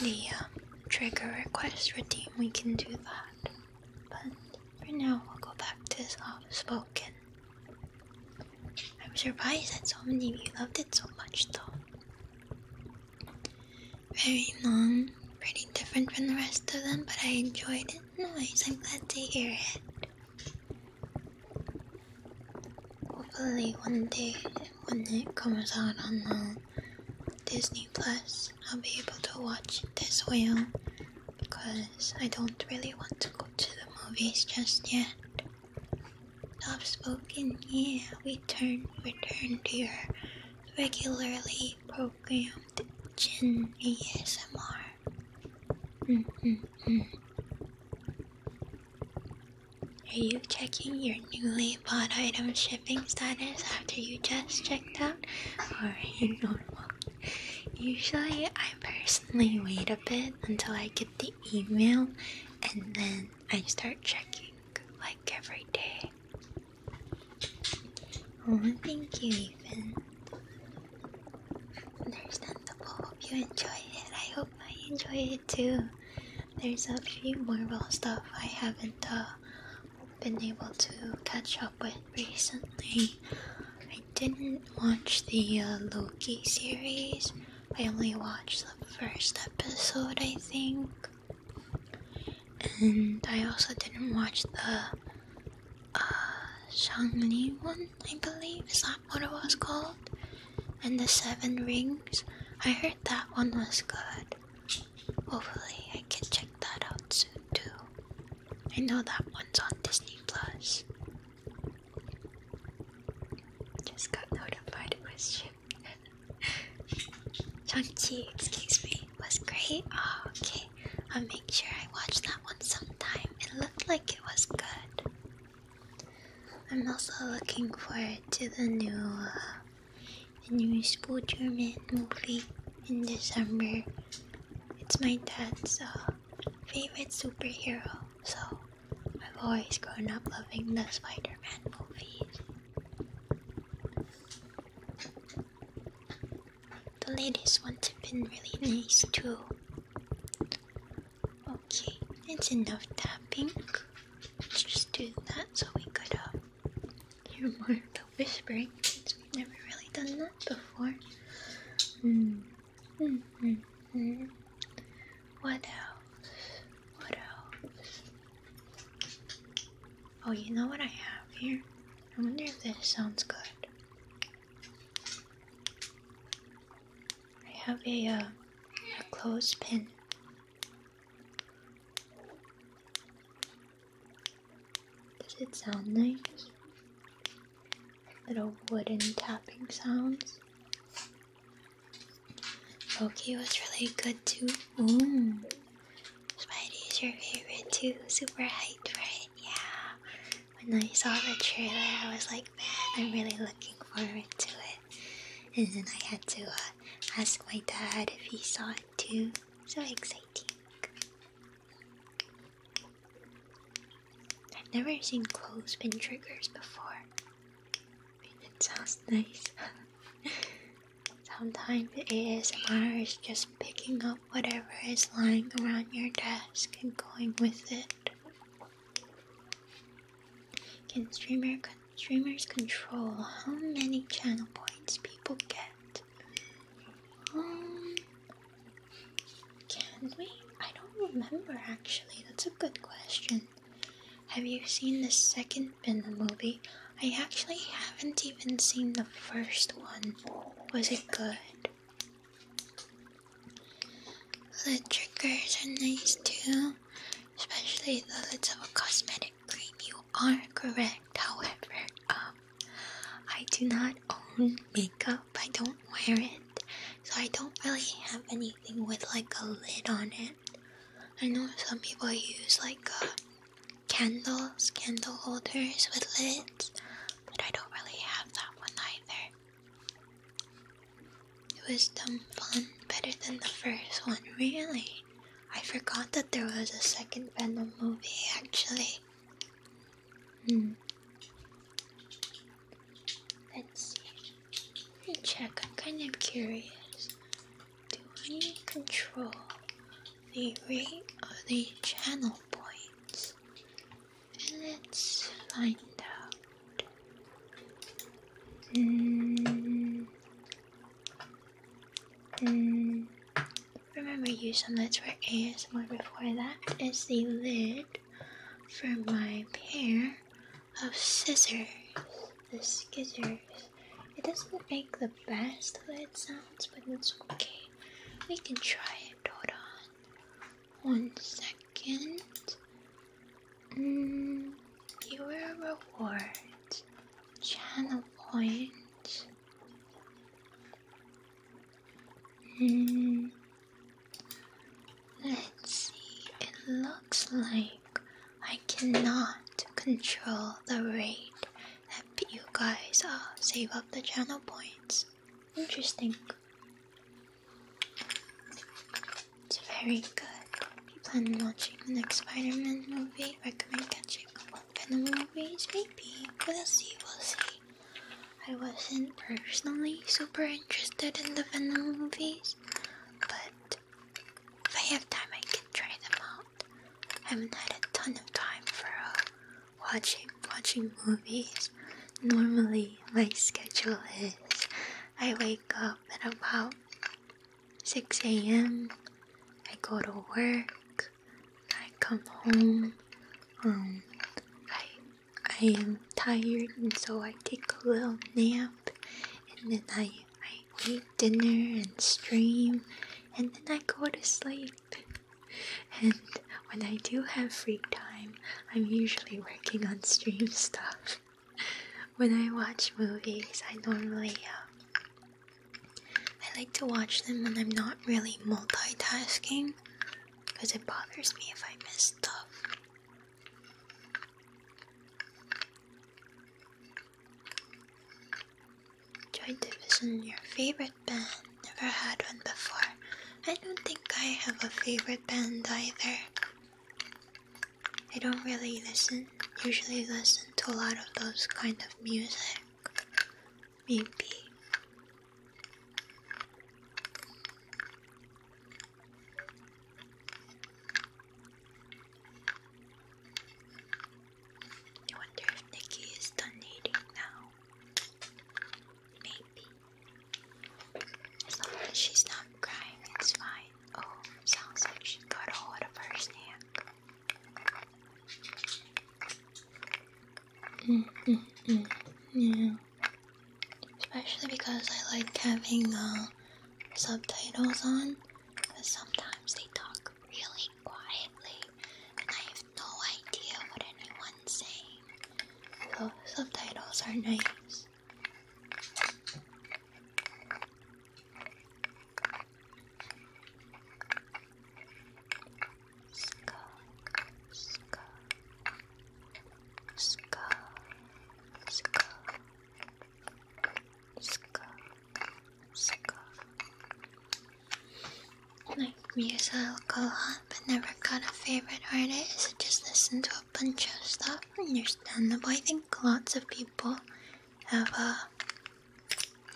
the uh, trigger request redeem, we can do that. But for now, we'll go back to soft spoken. I'm surprised that so many of you loved it so much, though. Very long, pretty different from the rest of them, but I enjoyed it. Nice, I'm glad to hear it. Hopefully, one day when it comes out on the Disney Plus, I'll be able to watch this well because I don't really want to go to the movies just yet. Soft spoken, yeah, we turn return to your regularly programmed Gen ASMR. Mm -mm -mm. Are you checking your new label? only item shipping status after you just checked out or you normal? Usually, I personally wait a bit until I get the email and then I start checking like every day. Oh, thank you, Ethan. Understandable. Hope you enjoyed it. I hope I enjoyed it too. There's a few Marvel stuff I haven't uh, been able to catch up with recently. I didn't watch the uh, Loki series. I only watched the first episode, I think. And I also didn't watch the uh, Shang-Li one, I believe. Is that what it was called? And the Seven Rings. I heard that one was good. Hopefully, I can check that out soon too. I know that one's on Disney Plus. Just got notified it was shipped. Shang-Chi, excuse me, was great. Oh, okay. I'll make sure I watch that one sometime. It looked like it was good. I'm also looking forward to the new uh, the new Spooderman movie in December. It's my dad's uh, favorite superhero, so I've always grown up loving the Spider Man movies. The latest ones have been really nice too. Okay, it's enough tapping. Let's just do that so we could uh, you're more of the whispering since we've never really done that before. Hmm. Hmm. What else? What else? Oh, you know what I have here? I wonder if this sounds good. I have a, uh, a clothespin. Does it sound nice? Little wooden tapping sounds. Loki was really good too. Mmm. Spidey is your favorite too. Super hyped for it, yeah. When I saw the trailer, I was like, man, I'm really looking forward to it. And then I had to uh, ask my dad if he saw it too. So excited. I've never seen clothespin triggers before. It sounds nice. Sometimes ASMR is just picking up whatever is lying around your desk and going with it. Can streamer streamers control how many channel points people get? Um, can we? I don't remember actually. That's a good question. Have you seen the second Venom movie? I actually haven't even seen the first one. Was it good? The triggers are nice too, especially the little cosmetic. You are correct. However, um, I do not own makeup. I don't wear it, so I don't really have anything with like a lid on it. I know some people use like uh, candles, candle holders with lids, but I don't really have that one either. It was dumb fun, better than the first one, really. I forgot that there was a second Venom movie actually. Hmm. Let's see. Let me check. I'm kind of curious. Do I need control the rate or the channel points? Let's find out. Mm. Mm. remember you submits for ASMR before that is the lid for my pair of scissors. The scissors. It doesn't make the best lid sounds, but it's okay. We can try it. Hold on. One second. Mm, viewer reward. Channel points. Hmm. Let's see, it looks like I cannot control the rate that you guys uh, save up the channel points. Interesting. It's very good. you plan on watching the next Spider Man movie, recommend catching and always maybe Glassy will say I wasn't personally super interested in the Venom movies, but if I have time I can try them out. I haven't had a ton of time for uh, watching watching movies. Normally my schedule is I wake up at about 6 a.m. I go to work, I come home, um, I I am tired and so I take a little nap and then I, I eat dinner and stream and then I go to sleep. And when I do have free time, I'm usually working on stream stuff. When I watch movies, I normally uh, I like to watch them when I'm not really multitasking because it bothers me if I miss stuff. Joy Division, your favorite band. Never had one before. I don't think I have a favorite band either. I don't really listen, usually listen to a lot of those kind of music maybe. I wonder if Nikki is donating now. Maybe. As long as she's not crying, it's fine. Oh, sounds like she got a hold of her snack. Mm, mm, mm, Especially because I like having uh, subtitles on, because sometimes they talk really quietly, and I have no idea what anyone's saying. So subtitles are nice. Skull, skull, skull, skull, skull, but never got a favorite artist. I Just listen to a bunch of stuff. Understandable. I think lots of people have a uh,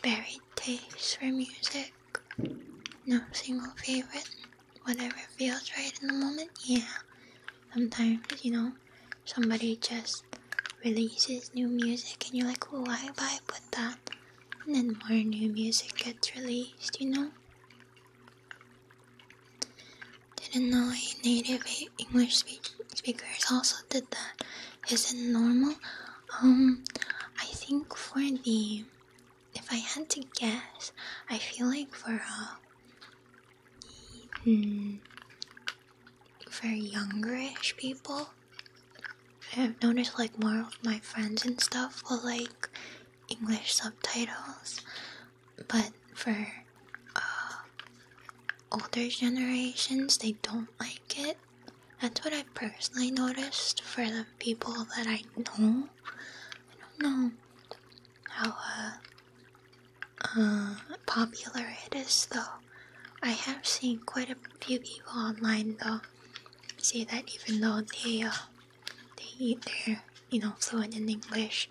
varied taste for music. No single favorite. Whatever feels right in the moment. Yeah. Sometimes, you know, somebody just releases new music and you're like, oh, why vibe with that. And then more new music gets released, you know? Didn't know a native English speakers also did that. Is it normal? Um, I think for the, if I had to guess, I feel like for a, uh, mm, for youngerish people, I've noticed like more of my friends and stuff will like English subtitles, but for uh, older generations, they don't like it. That's what i personally noticed for the people that I know. I don't know how uh, uh, popular it is though. I have seen quite a few people online though say that even though they uh, they they're you know fluent in English,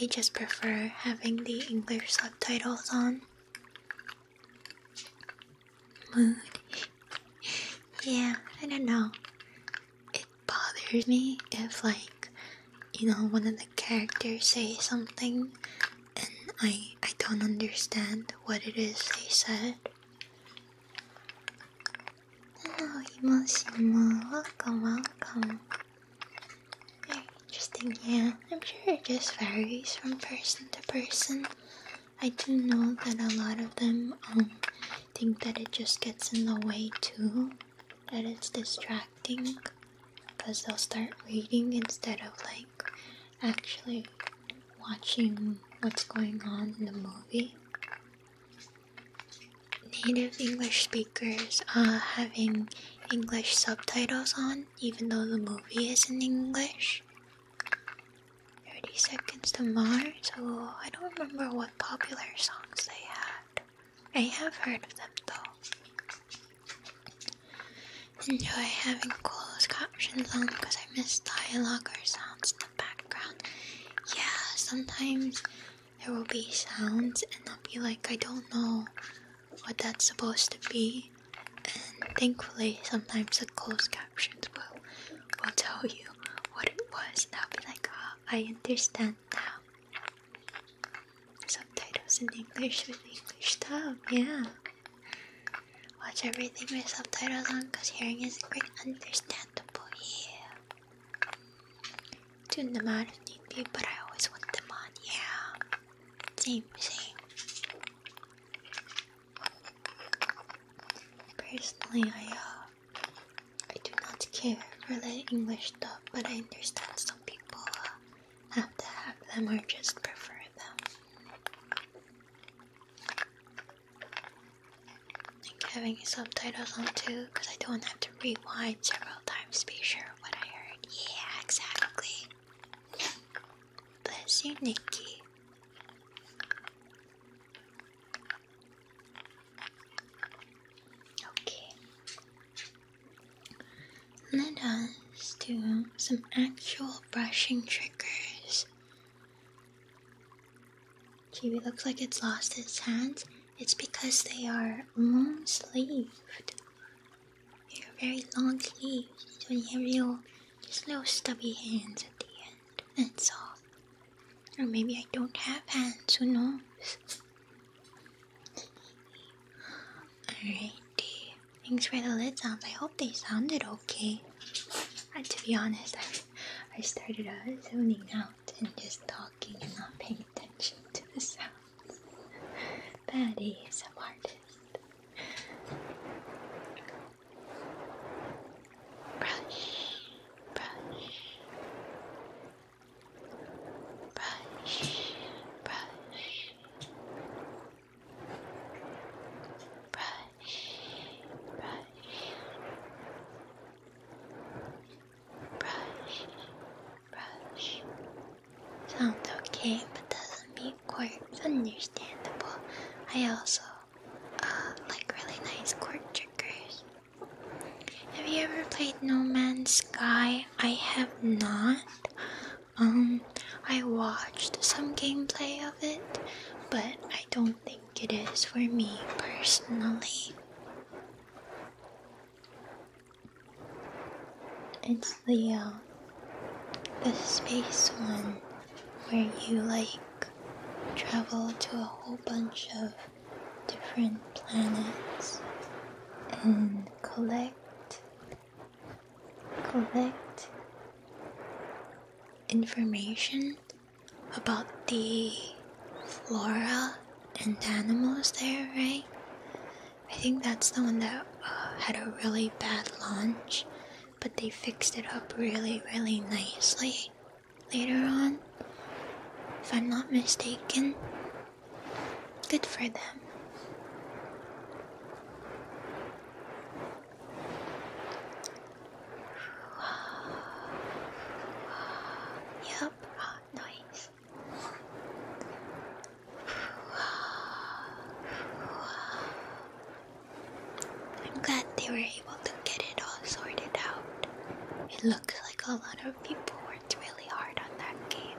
they just prefer having the English subtitles on mood. yeah, I don't know. It bothers me if, like, you know, one of the characters say something and I I don't understand what it is they said. Hello, Emoshima. Welcome, welcome. Very interesting, yeah. I'm sure it just varies from person to person. I do know that a lot of them um, think that it just gets in the way too, that it's distracting because they'll start reading instead of like actually watching what's going on in the movie. Native English speakers are uh, having English subtitles on, even though the movie is in English. 30 Seconds to Mars. I don't remember what popular songs they had. I have heard of them though. Enjoy having closed captions on because I miss dialogue or sounds in the background. Yeah, sometimes there will be sounds and I'll be like, I don't know what that's supposed to be. And thankfully, sometimes the closed captions will i will tell you what it was, Now, be like, oh, I understand now. Subtitles in English with English dub, yeah. Watch everything with subtitles on because hearing isn't great, understandable, yeah. Tune them out if need be, but I always want them on, yeah. Same, same. Personally, I uh, I do not care for the English stuff, but I understand some people uh, have to have them or just prefer them. Like having subtitles on too, because I don't have to rewind several times to be sure what I heard. Yeah, exactly. Bless you, Nikki. Okay. Let us do some actual brushing triggers. Kiwi looks like it's lost its hands. It's because they are long sleeved. They're very long sleeves, so you have real just little stubby hands at the end. And that's Or maybe I don't have hands, who knows? Alrighty. Thanks for the lid sounds. I hope they sounded okay. And uh, to be honest, I, I started uh, zoning out and just talking and not paying attention to the sounds. Bad an artist brush, brush, brush, brush, brush, brush, brush. Sounds okay, but doesn't mean quite understandable. I also uh, like really nice chord triggers. Have you ever played No Man's Sky? I have not. Um, I watched some gameplay of it, but I don't think it is for me personally. It's the uh, the space one where you like Travel to a whole bunch of different planets and collect collect information about the flora and animals there, right? I think that's the one that uh, had a really bad launch but they fixed it up really, really nicely later on. If I'm not mistaken, good for them. Yep, oh, I'm glad they were able to get it all sorted out. It looks like a lot of people worked really hard on that game.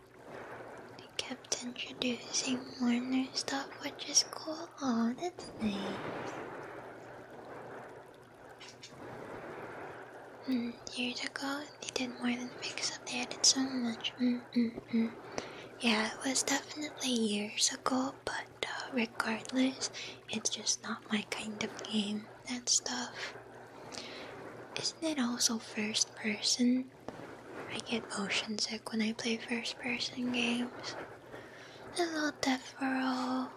They kept introducing more new stuff, which is cool. Oh, that's nice. years ago, they did more than fix up. They added so much. Mm, mm, mm. Yeah, it was definitely years ago, but uh, regardless, it's just not my kind of game. That stuff. Isn't it also first person? I get motion sick when I play first person games. A little Death for I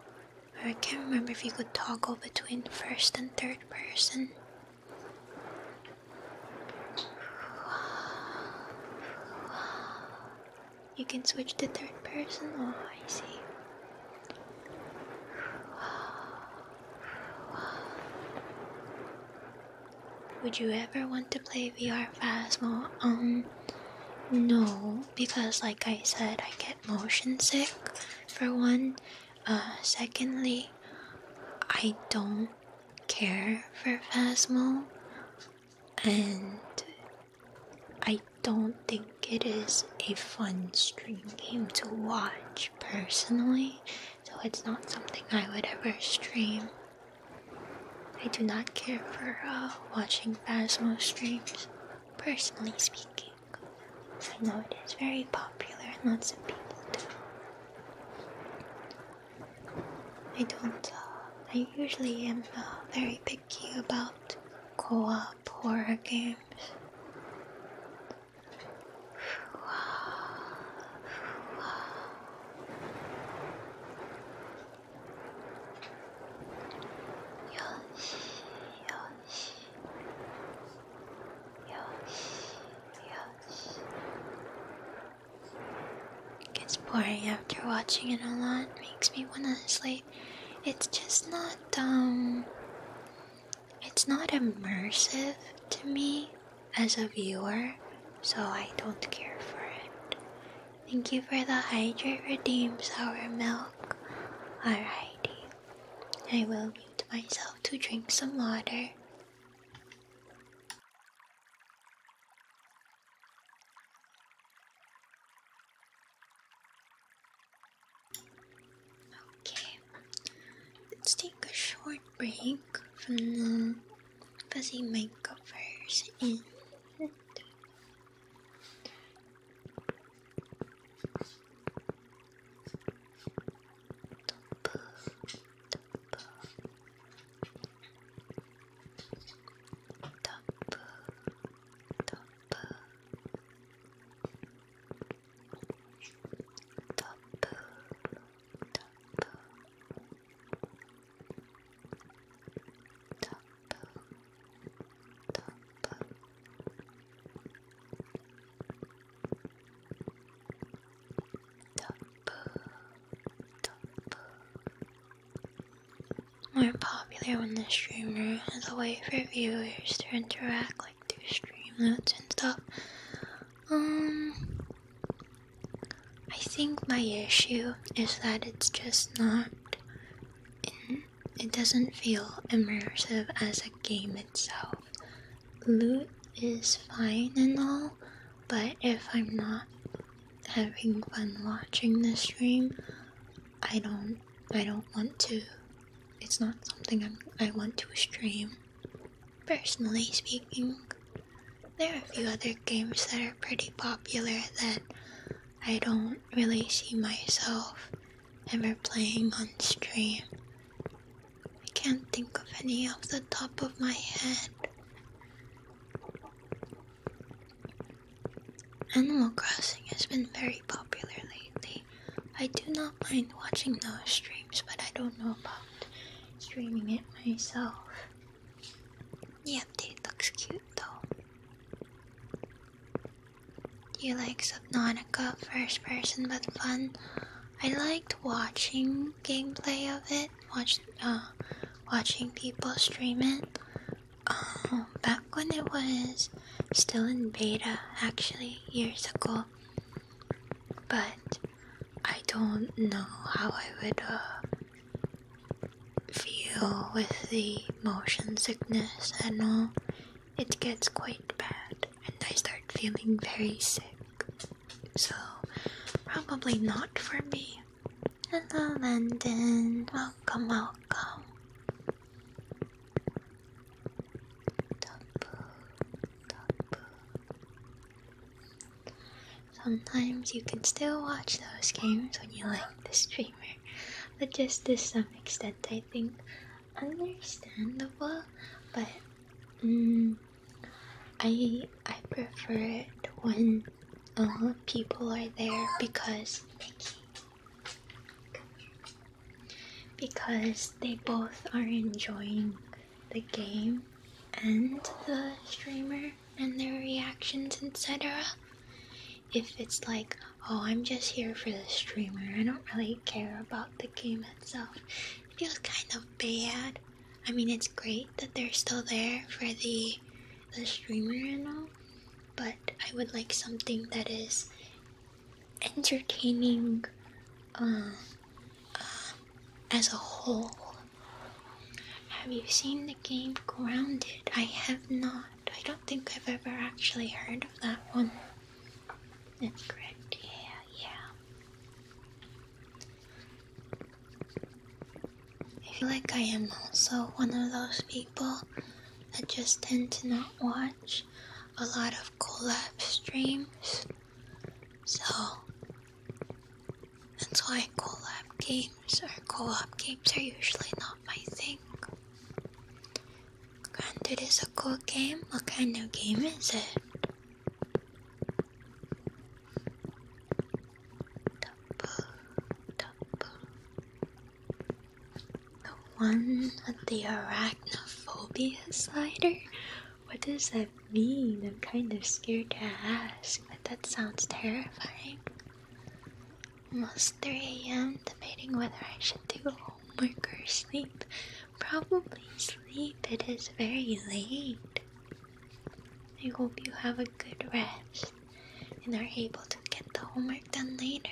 can't remember if you could toggle between first and third person. You can switch to third person? Oh, I see. Would you ever want to play VR Phasmo? Um, no, because like I said, I get motion sick for one. Uh, secondly, I don't care for Phasmo, and I don't think it is a fun stream game to watch personally, so it's not something I would ever stream. I do not care for uh, watching Phasmo streams, personally speaking. I know it is very popular and lots of people do. I don't, uh, I usually am uh, very picky about co op horror games. Ah, ah. しよしよしよし it gets boring after watching it a lot. Makes me wanna sleep. It's just not um it's not immersive to me as a viewer, so I don't care for it. Thank you for the hydrate redeem sour milk. Alrighty. I will mute myself to drink some water. Okay, let's take a short break from the fuzzy mic covers and top, top, top, top. Top, more popular when the streamer is a way for viewers to interact, like do stream notes and stuff. Um, I think my issue is that it's just not. it doesn't feel immersive as a game itself. Loot is fine and all, but if I'm not having fun watching the stream, I don't. I don't want to. It's not something i I want to stream. Personally speaking, there are a few other games that are pretty popular that I don't really see myself ever playing on stream. I can't think of any off the top of my head. Animal Crossing has been very popular lately. I do not mind watching those streams, but I don't know about streaming it myself. The update looks cute though. You like Subnautica first person but fun? I liked watching gameplay of it, watched uh, watching people stream it. Um, back when it was still in beta, actually years ago. But I don't know how I would uh, feel with the motion sickness and all, it gets quite bad, and I start feeling very sick. So, probably not for me. Hello, London. Welcome, welcome. Tapu, tapu, Sometimes you can still watch those games when you like the streamer, but just to some extent, I think understandable. But mm, I I prefer it when uh, people are there because because they both are enjoying the game and the streamer and their reactions, etc. If it's like, oh, I'm just here for the streamer, I don't really care about the game itself, it feels kind of bad. I mean, it's great that they're still there for the the streamer and all, but I would like something that is entertaining uh, uh as a whole have you seen the game Grounded? I have not. I don't think I've ever actually heard of that one. That's correct. Yeah, yeah. I feel like I am also one of those people that just tend to not watch a lot of collapse streams. So that's why collab games or co-op games are usually not my thing. Granted it's a cool game. What kind of game is it? Double, double. The one with the arachnophobia slider? What does that mean? I'm kind of scared to ask that sounds terrifying. Almost 3 a.m. debating whether I should do homework or sleep. Probably sleep, it is very late. I hope you have a good rest and are able to get the homework done later.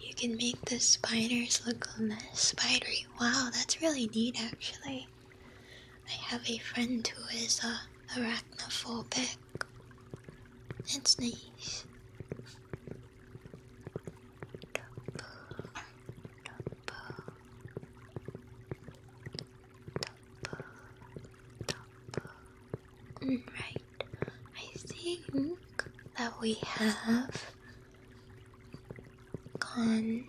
You can make the spiders look less spidery. Wow, that's really neat actually. I have a friend who is uh, arachnophobe. It's nice. Right. I think that we have gone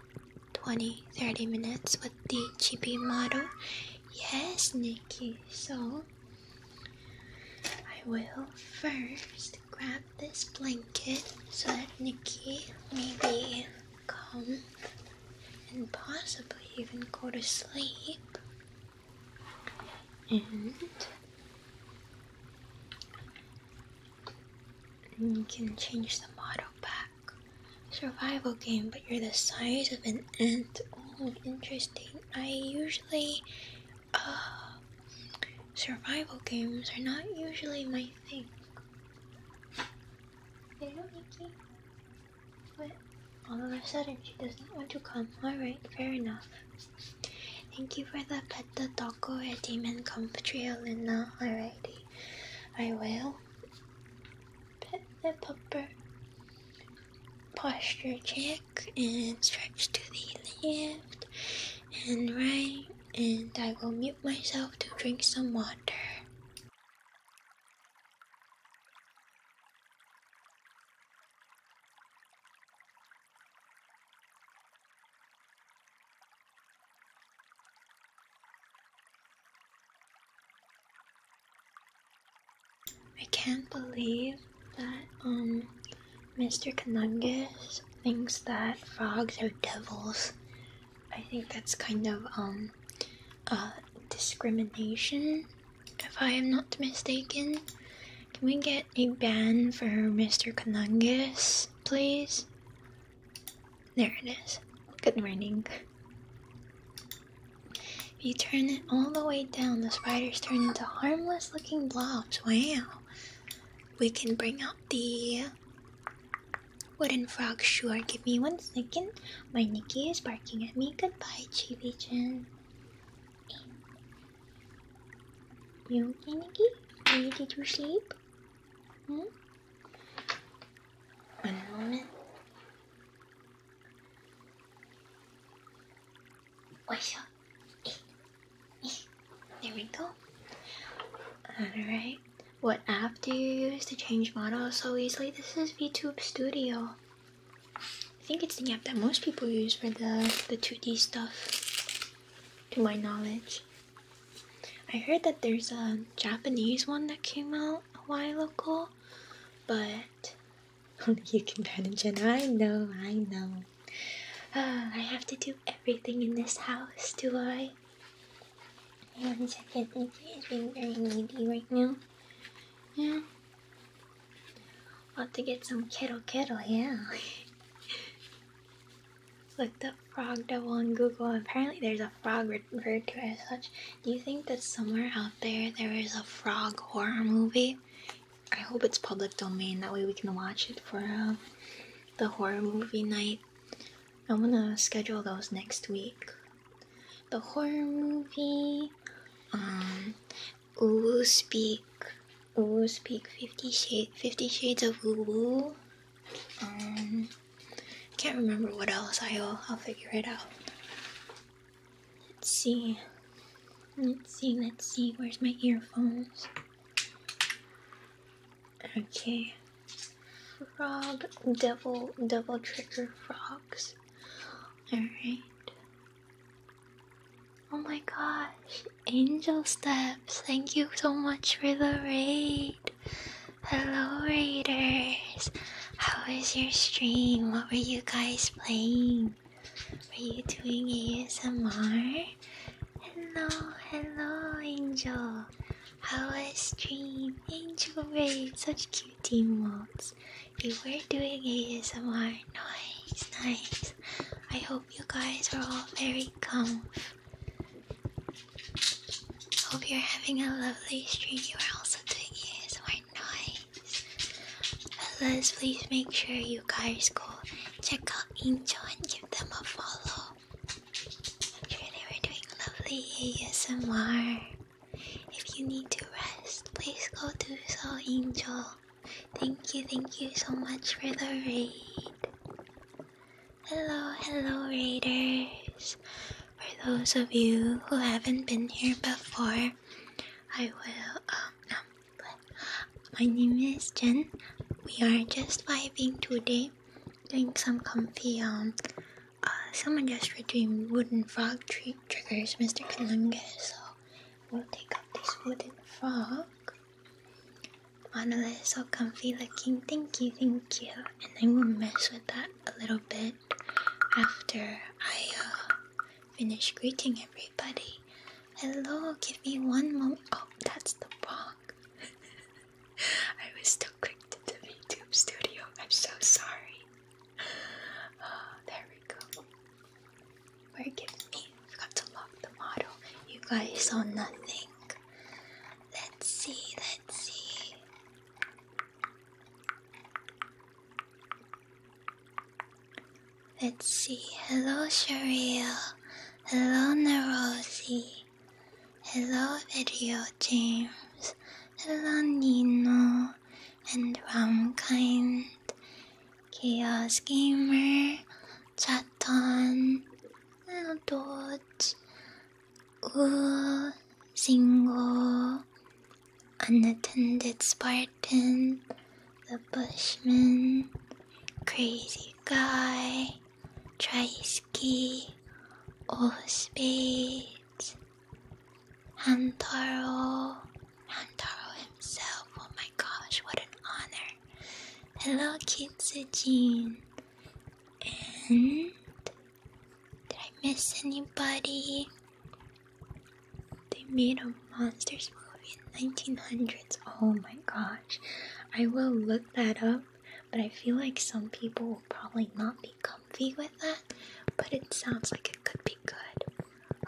20 30 minutes with the GB model. Yes, Nikki. So I will first grab this blanket so that Nikki maybe come and possibly even go to sleep. And you can change the motto back. Survival game, but you're the size of an ant. Oh, interesting. I usually, uh, survival games are not usually my thing. Hello, Nikki. But All of a sudden, she does not want to come. Alright, fair enough. Thank you for the pet the taco at Demon country Trio, Luna. Alrighty. I will. Pet the pupper. Posture check and stretch to the left and right. And I will mute myself to drink some water. I can't believe that um Mr. Canungus thinks that frogs are devils. I think that's kind of um uh discrimination if I am not mistaken. Can we get a ban for Mr. Canungus, please? There it is. Good morning. If you turn it all the way down, the spiders turn into harmless looking blobs. Wow. We can bring up the wooden frog, sure. Give me one second. My Nikki is barking at me. Goodbye, Chibi Chan. You Are Nikki? Did you sleep? Hmm? One moment. Wait, eh, eh. there we go. Alright, what app do you use to change models so easily? This is VTube Studio. I think it's the app that most people use for the, the 2D stuff, to my knowledge. I heard that there's a Japanese one that came out a while ago, but you can manage it. I know, I know. Ah, I have to do everything in this house, do I? One second, being very needy right now. Yeah. I'll to get some kettle kettle, yeah. Looked up frog devil on Google. Apparently, there's a frog referred to as such. Do you think that somewhere out there there is a frog horror movie? I hope it's public domain, that way we can watch it for uh, the horror movie night. I am going to schedule those next week. The horror movie, um, Uwu Speak, Uwu Speak, Fifty, Shade, Fifty Shades of Uwu, um, can't remember what else. I'll I'll figure it out. Let's see. Let's see. Let's see. Where's my earphones? Okay. Frog, devil, double trigger frogs. Alright. Oh my gosh. Angel Steps, thank you so much for the raid. Hello, Raiders. How was your stream? What were you guys playing? Were you doing ASMR? Hello, hello, Angel. How was stream? Angel Raid, such cute emotes. You were doing ASMR. Nice, nice. I hope you guys are all very calm. Hope you're having a lovely stream. You are also doing ASMR Let's please make sure you guys go check out Angel and give them a follow. I'm sure they were lovely ASMR. If you need to rest, please go do so, Angel. Thank you, thank you so much for the raid. Hello, hello, raiders. For those of you who haven't been here before, I will. Um, my name is Jen. We are just vibing today, doing some comfy. someone just redeemed wooden frog tree triggers, Mr. Kalunga. So we'll take up this wooden frog. Monolith is so comfy looking. Thank you, thank you. And I will mess with that a little bit after I uh, finish greeting everybody, hello, give me one moment. Oh, that's the wrong. I was too quick to the YouTube studio. I'm so sorry. Oh, there we go. Forgive me. forgot to lock the model. You guys saw nothing. Let's see, let's see. Let's see. Hello, Sherry. Hello, Nerosi. Hello, Video James. Hello, Nino. And kind Chaos Gamer. Chaton. Little Dodge. Ooh, single, unattended Spartan, the Bushman, crazy guy, Triski, all speed, Hantaro, Hantaro himself. Oh my gosh, what an honor! Hello, Kitsujin, and did I miss anybody? They made a monsters movie in 1900s. Oh my gosh. I will look that up, but I feel like some people will probably not be comfy with that, but it sounds like it could be good.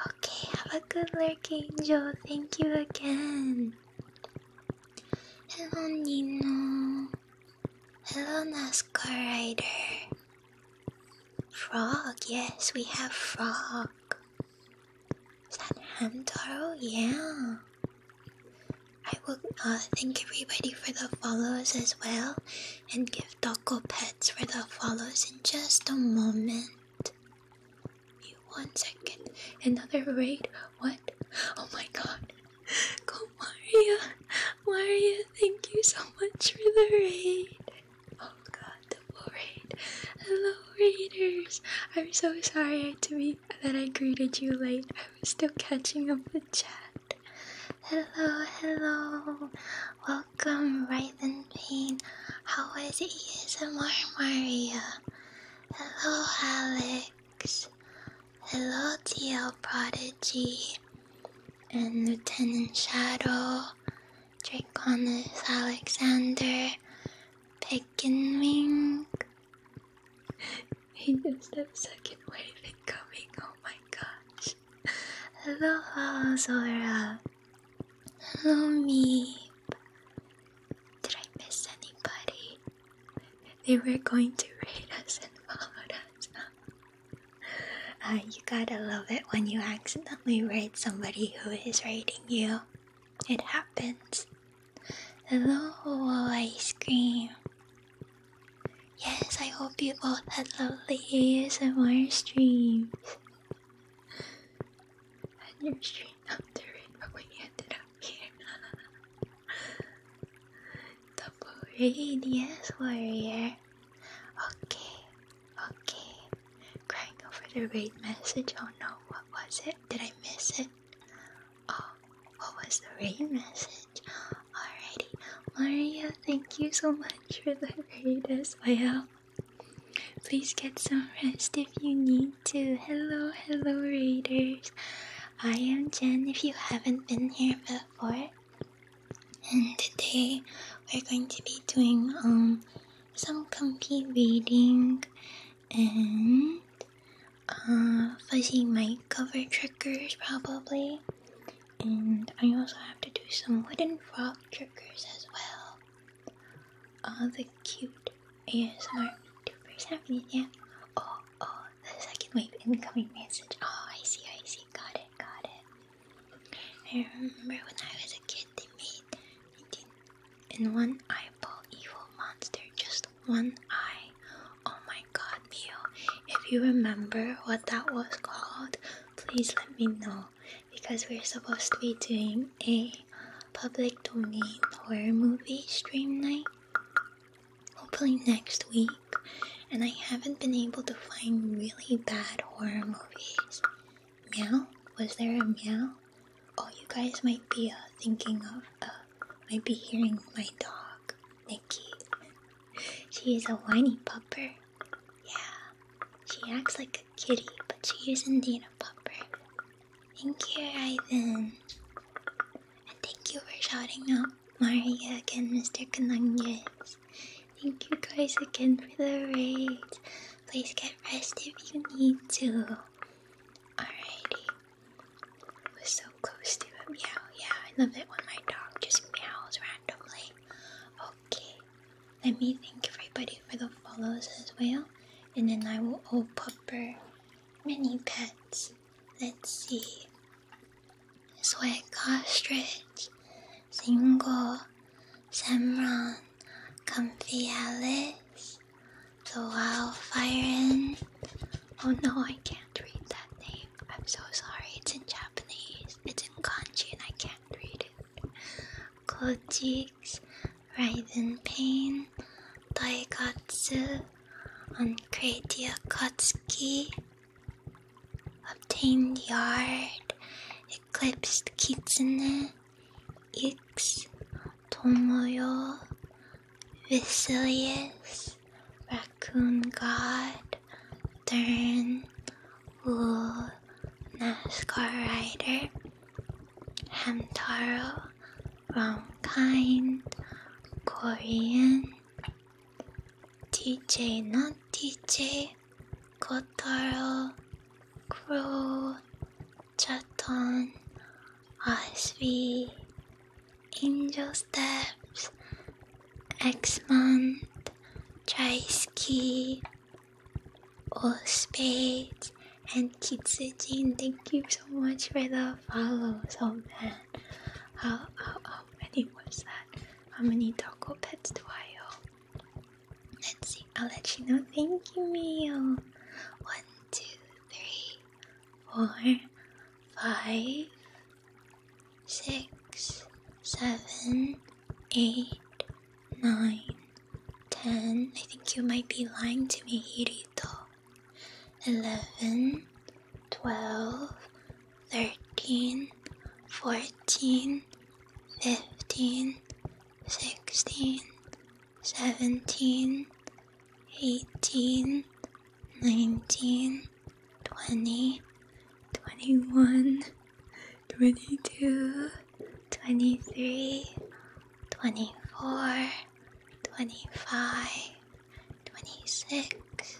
Okay, have a good lurk, Angel. Thank you again. Hello, Hello, NASCAR Rider. Frog, yes, we have frog. Is that Hamtaro? Yeah. I will uh, thank everybody for the follows as well, and give Taco Pets for the follows in just a moment. one second. Another raid? What? Oh my god. Go Maria! Mario, thank you so much for the raid. Oh god, double raid. Hello raiders. I'm so sorry to be that I greeted you late. I was still catching up with chat. Hello, hello. Welcome, Raven Pain. How is ASMR Mario? Hello, Alex. Hello, TL Prodigy and Lieutenant Shadow, Draconis Alexander, Pick and Wing. he just have second wave coming. oh my gosh. Hello, Zora. Hello, me. Did I miss anybody? They were going to raid us and follow us. Uh, you gotta love it when you accidentally raid somebody who is raiding you. It happens. Hello, ice cream. Yes, I hope you both had lovely ASMR streams. And your stream after it, but we ended up here. Double raid, warrior. Okay, okay. Crying over the raid message. Oh no, what was it? Did I miss it? Oh, what was the raid message? Alrighty, Maria, thank you so much for the raid as well. Please get some rest if you need to. Hello, hello, raiders. I am Jen if you haven't been here before and today we're going to be doing um some comfy reading and uh, fuzzy mic cover triggers probably and I also have to do some wooden frog triggers as well. All uh, the cute and ASMR YouTubers have these, yeah. Oh, oh, the second wave incoming message. Oh, I see, I see. Got it, got it. I remember when I was a kid, they made in one eyeball evil monster, just one eye. Oh my god, Mio, if you remember what that was called, please let me know because we're supposed to be doing a public domain horror movie stream night. Hopefully, next week and I haven't been able to find really bad horror movies. Meow? Was there a meow? Oh, you guys might be uh, thinking of, uh, might be hearing my dog, Nikki. she is a whiny pupper. Yeah, she acts like a kitty, but she is indeed a pupper. Thank you, Ivan. And thank you for shouting out Maria again, Mr. Conungus. Thank you guys again for the raid. Please get rest if you need to. Alrighty. We're so close to a meow. Yeah, I love it when my dog just meows randomly. Okay. Let me thank everybody for the follows as well. And then I will open up mini pets. Let's see. Sweat Ostrich, Single, Semron, Comfy Alice, The Wildfire Inn. Oh no, I can't read that name. I'm so sorry. It's in Japanese. It's in kanji and I can't read it. Kojix, Raiden Pain, Daigatsu, Uncratia Kotsky, obtained yard, eclipsed kitchen X tomoyo, Vesalius, raccoon god, turn, wool, NASCAR rider, Hamtaro, wrong kind, Korean, DJ not DJ, Kotaro, Crow, Chaton, Ashby, Angel Steps, Exmont, Trisky, All Spades, and Kitsujin. Thank you so much for the follows. Oh man, how many was that? How many doggo pets do I owe? Let's see, I'll let you know. Thank you, Mio. One, two, three, four, five, six, seven, eight, nine, ten. I think you might be lying to me, Hirito. Eleven, twelve, thirteen, fourteen, fifteen, sixteen, seventeen, eighteen, nineteen, twenty, twenty-one, twenty-two, twenty-three, twenty-four, twenty-five, twenty-six.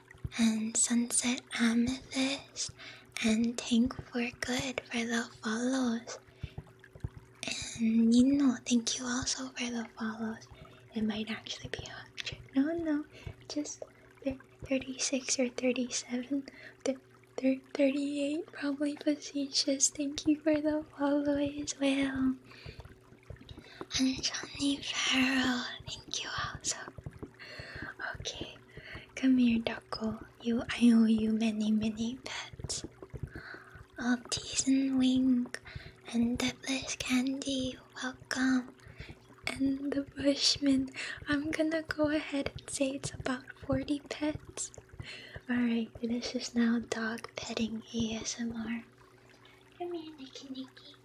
and sunset amethyst and thank for good for the follows. And you thank you also for the follows. It might actually be 100. No, no, just 36 or 37, th th 38, probably facetious. Thank you for the follow as well. And Johnny Farrell, thank you also. Okay, come here, Duckle. You, I owe you many, many pets. Oh, teeth and wing, and deathless candy. Welcome. And the Bushman. I'm gonna go ahead and say it's about 40 pets. Alright, this is now dog petting ASMR. Come here, Nikki Nikki.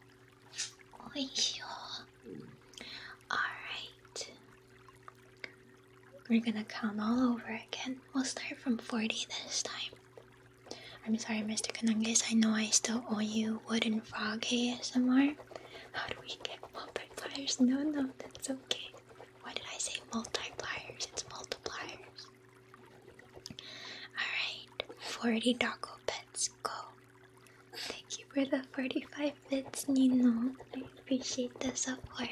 Alright. We're gonna count all over again. We'll start from 40 this time. I'm sorry, Mr. Kanangas. I know I still owe you Wooden Frog ASMR. How do we get multipliers? No, no, that's okay. Why did I say multipliers? It's multipliers. Alright, 40 Doggo Pet Let's go. Thank you for the 45 bits, Nino. I appreciate the support.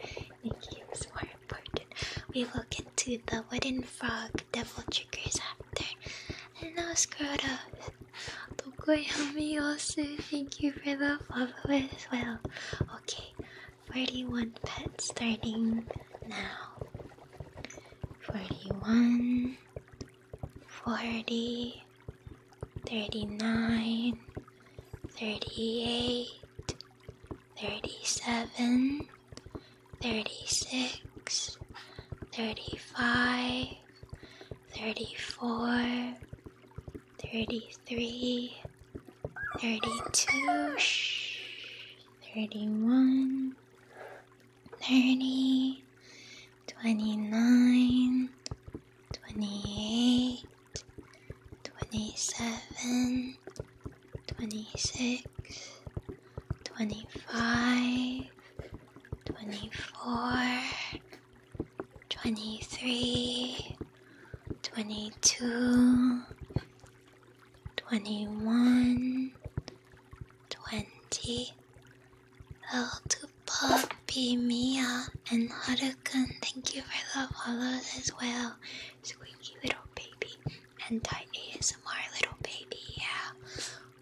Thank you, it's more important. We will get to the wooden frog devil triggers after. And now, Scrota. Tokoyami also, thank you for the follow as well. Okay, 41 pets starting now. 41 40, 39, 38, 37, 36, 35, 34, 33, 32, 31, 30, 29, 28, 27, 26, 25, 24, 23, 22, 21, 20, Hello to Poppy, Mia, um, and Harukan. Thank you for the follows as well. Squeaky little baby. and Anti ASMR little baby, yeah.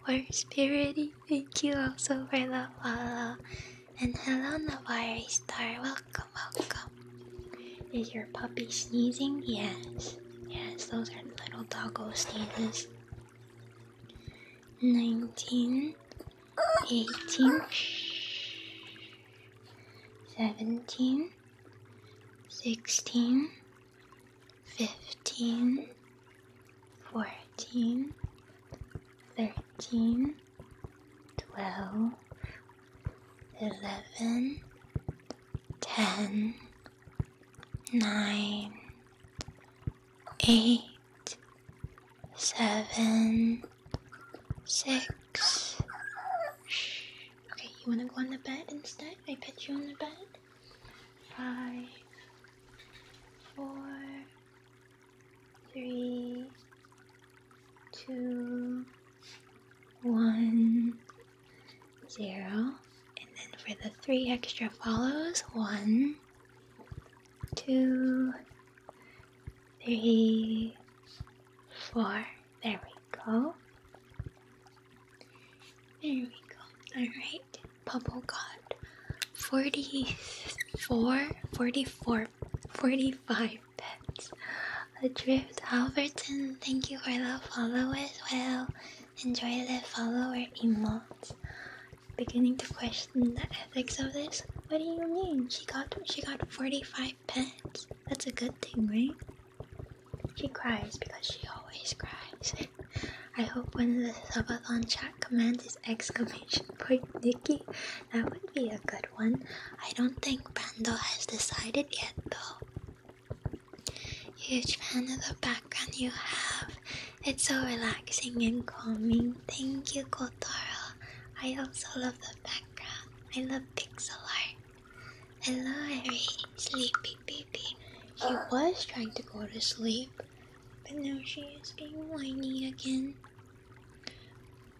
Or Spirity, thank you also for the follow. And hello, Navari Star. Welcome, welcome. Is your puppy sneezing? Yes. Yes, those are little doggo sneezes nineteen, eighteen, seventeen, sixteen, fifteen, fourteen, thirteen, twelve, eleven, ten, nine eight, seven, six. Okay, you wanna go on the bed instead? I pet you on the bed. Five, four, three, two, one, zero. And then for the three extra follows, one, two, three, four. There we go. There we go. Alright, Bubble got 44, 45 pets. Adrift Alberton, thank you for the follow as well enjoy the follower emotes beginning to question the ethics of this. What do you mean? She got she got 45 pence. That's a good thing, right? She cries because she always cries. I hope when of the subathon chat commands is exclamation point Nikki. That would be a good one. I don't think Brando has decided yet though. Huge fan of the background you have. It's so relaxing and calming. Thank you, Kotaro. I also love the background. I love pixel art. Hello, Harry. Sleepy baby. She uh. was trying to go to sleep, but now she is being whiny again.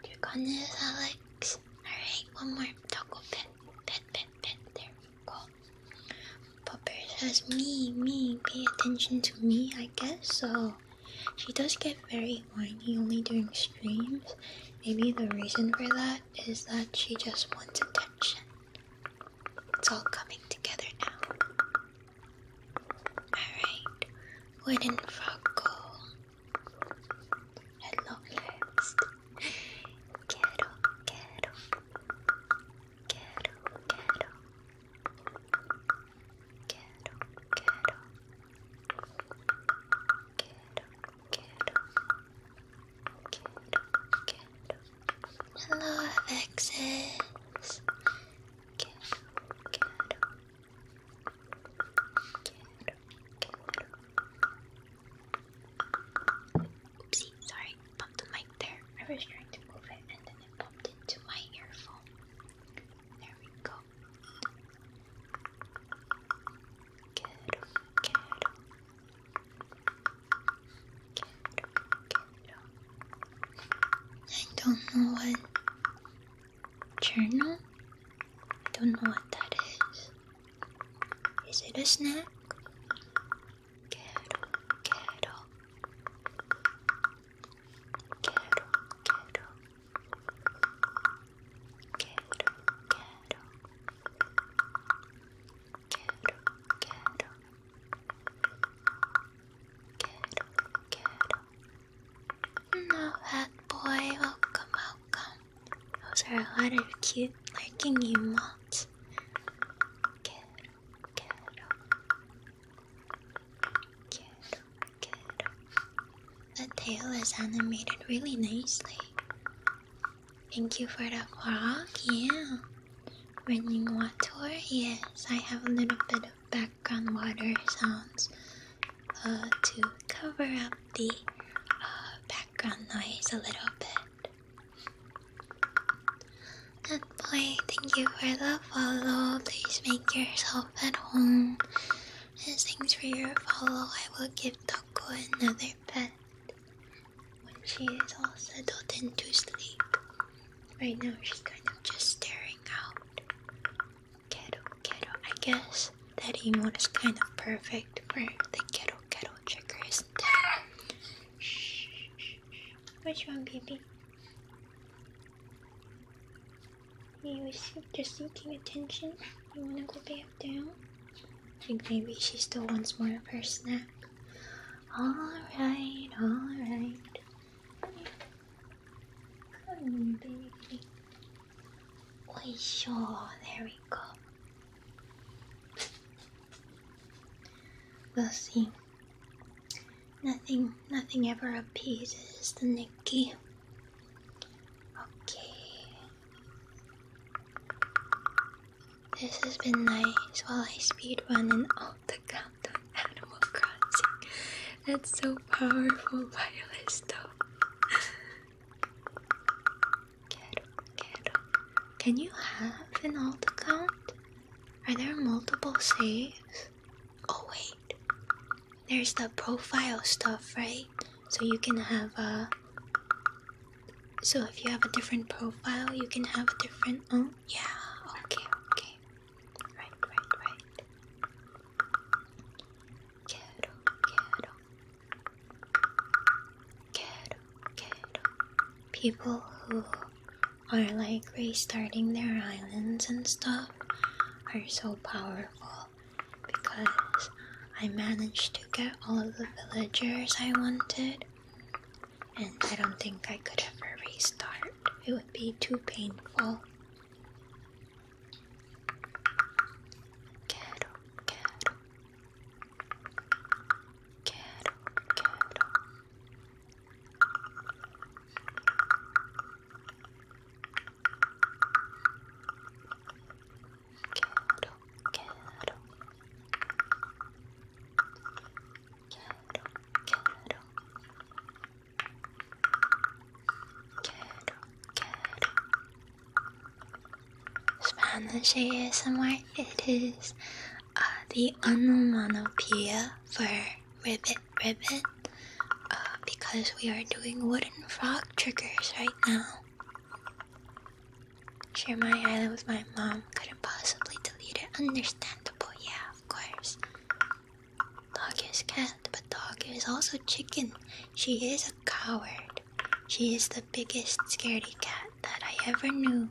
You're gonna Alex. Alright, one more. Taco pet, pet, pet, pet. There we all. But says, me, me, pay attention to me, I guess, so she does get very whiny only during streams. Maybe the reason for that is that she just wants attention. It's all coming together now. Alright, where did Frog go? Quiero, quiero. Quiero, quiero. Quiero, Hello, FXs. Oopsie, sorry. Pop the mic there. I was trying to move it and then it popped into my earphone. There we go. I don't know what journal? I don't know what that is. Is it a snack? Quiero, quiero. Quiero, quiero. Quiero, quiero. Quiero, quiero. Quiero, quiero. Now that boy, welcome, welcome. Those are a lot of cute liking emotes. Quiero, quiero. The tail is animated really nicely. Thank you for the frog, yeah. Running water, yes. I have a little bit of background water sounds uh, to cover up the uh, background noise a little bit. Good boy, thank you for the follow. Please make yourself at home. And thanks for your follow. I will give Taco another pet when she is all settled into sleep. Right now she's kind of just staring out. Ghetto, ghetto. I guess that emote is kind of perfect for the kettle, kettle trigger, isn't shh. Which one, baby? You just seeking attention. You wanna go back down? I think maybe she still wants more of her snack. Alright, alright. baby. Wait, sure, there we go. Let's see. Nothing, nothing ever appeases the Nikki. Okay. This has been nice while I speedrun in all the countdown Animal Crossing. That's so powerful wireless stuff. Quiero, quiero. Can you have an alt account? Are there multiple saves? Oh wait, there's the profile stuff, right? So you can have a. So if you have a different profile, you can have a different. Oh yeah. Okay. Okay. Right. Right. Right. Quiero. Quiero. Quiero. Quiero. People who are like restarting their islands and stuff are so powerful because I managed to get all of the villagers I wanted, and I don't think I could ever restart. It would be too painful. Quiero, quiero. Quiero, quiero. Quiero, quiero. Spanish ASMR, it is uh, the onomatopoeia for ribbit ribbit uh, because we are doing wooden frog triggers right now. Share my island with my mom. Couldn't possibly delete it. Understandable, yeah, of course. Dog is cat, but dog is also chicken. She is a coward. She is the biggest scaredy cat that I ever knew.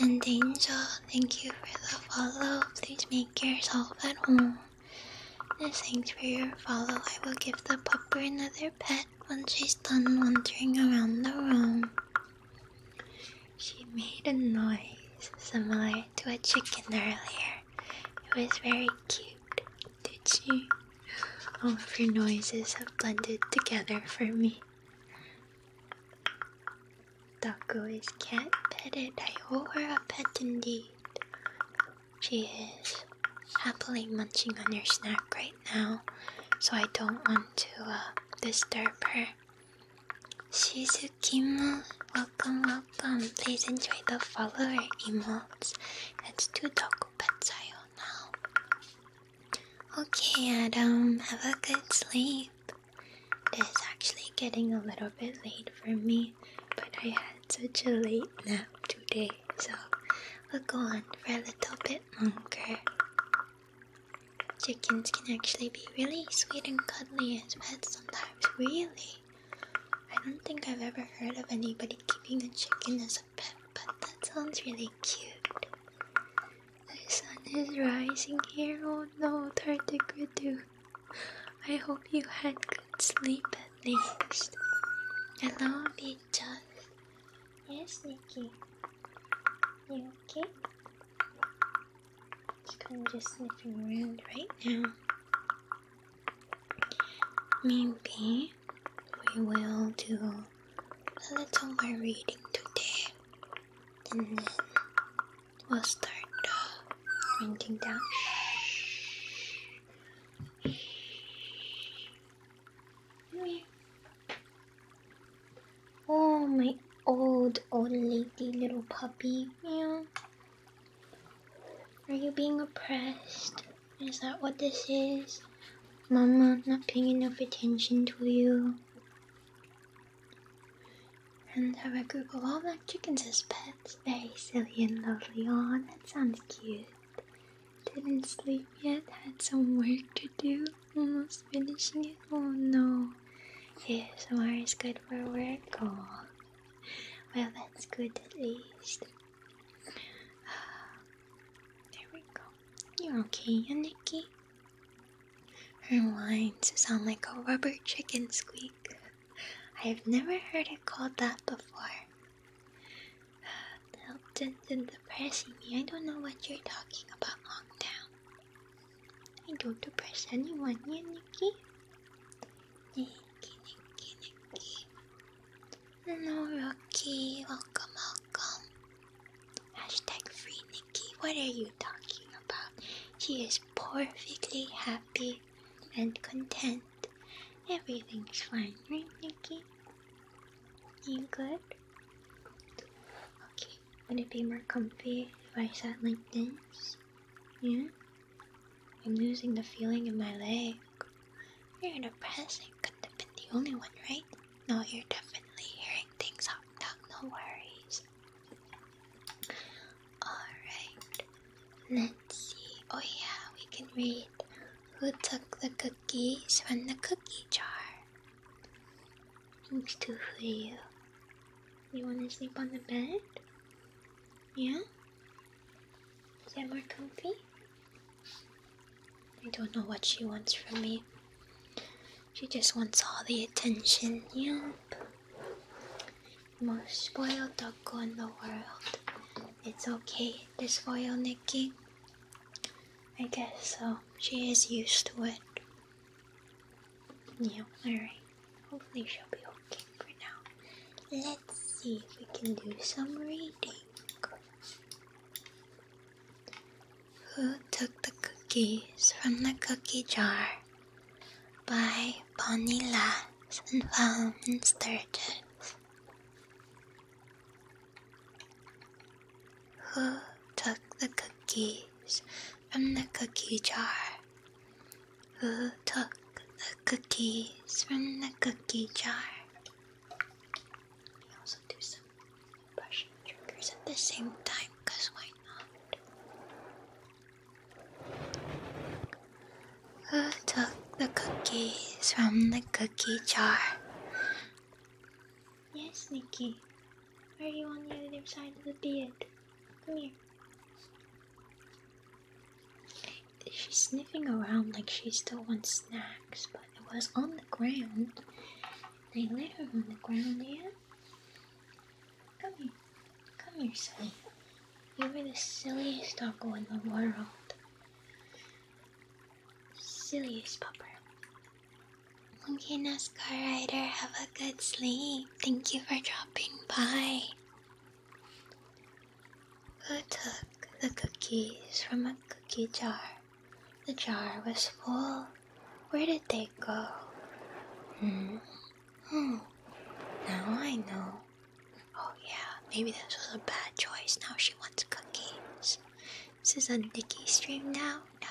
and Angel, thank you for the follow. Please make yourself at home. And thanks for your follow. I will give the pupper another pet when she's done wandering around the room. She made a noise similar to a chicken earlier. It was very cute. Did she? All of your noises have blended together for me. Dako is cat petted. I owe her a pet indeed. She is happily munching on her snack right now, so I don't want to uh, disturb her. Shizukimo, welcome, welcome. Please enjoy the follower emotes. It's two Doku pets I own now. Okay, Adam, have a good sleep. It's actually getting a little bit late for me, but I had such a late nap today, so we'll go on for a little bit longer. Chickens can actually be really sweet and cuddly as pets sometimes, really. I don't think I've ever heard of anybody keeping a chicken as a pet, but that sounds really cute. The sun is rising here. Oh no, Tardigradu. I hope you had good sleep at least. Hello, Victor. Yes, Nikki. You okay? Just kind of just sniffing around right now. Maybe we will do a little more reading today and then we'll start winding uh, down. Oh, my old, old lady little puppy. Meow. Are you being oppressed? Is that what this is? Mama not paying enough attention to you. And have a group of all black chickens as pets. Very silly and lovely. Aw, that sounds cute. Didn't sleep yet, had some work to do. Almost finishing it. Oh no. Yes, tomorrow is good for work. Oh, Well, that's good at least. There we go. You're okay, Nikki. Her whines sound like a rubber chicken squeak. I have never heard it called that before. That's depressing me. I don't know what you're talking about, Longtown. I don't depress anyone, yeah, Nikki? Nikki, Nikki, Nikki. No, Rocky, welcome, welcome. Hashtag free Nikki. Nikki, what are you talking about? She is perfectly happy and content. Everything's fine, right, Nikki? You good? Okay, would it be more comfy if I sat like this? Yeah? I'm losing the feeling in my leg. You're depressing. Couldn't have been the only one, right? No, you're definitely hearing things out loud. No worries. Alright, let's see. Oh, yeah, we can read who took the cookies from the cookie jar. Thanks to for you. You want to sleep on the bed? Yeah? Is that more comfy? I don't know what she wants from me. She just wants all the attention. Yep. Most spoiled doggo in the world. It's okay to spoil Nikki. I guess so. She is used to it. Yep. alright. Hopefully she'll be okay for now. Let's see if we can do some reading. Who Took the Cookies from the Cookie Jar by Bonnie Lass and Solomon Sturges. Who took the cookies from the cookie jar? Who took the cookies from the cookie jar? I also do some brushing triggers at the same time, cause why who took the cookies from the cookie jar? Yes, Nikki. Why are you on the other side of the bed? Come here. She's sniffing around like she still wants snacks, but it was on the ground. They let her on the ground, yeah? Come here. Come here, silly. You are the silliest doggo in the world. Silliest pupper. Okay, NASCAR rider, have a good sleep. Thank you for dropping by. Who took the cookies from a cookie jar? The jar was full. Where did they go? Hmm. Oh, now I know. Oh yeah, maybe this was a bad choice. Now she wants cookies. This is a Nikki stream now? No.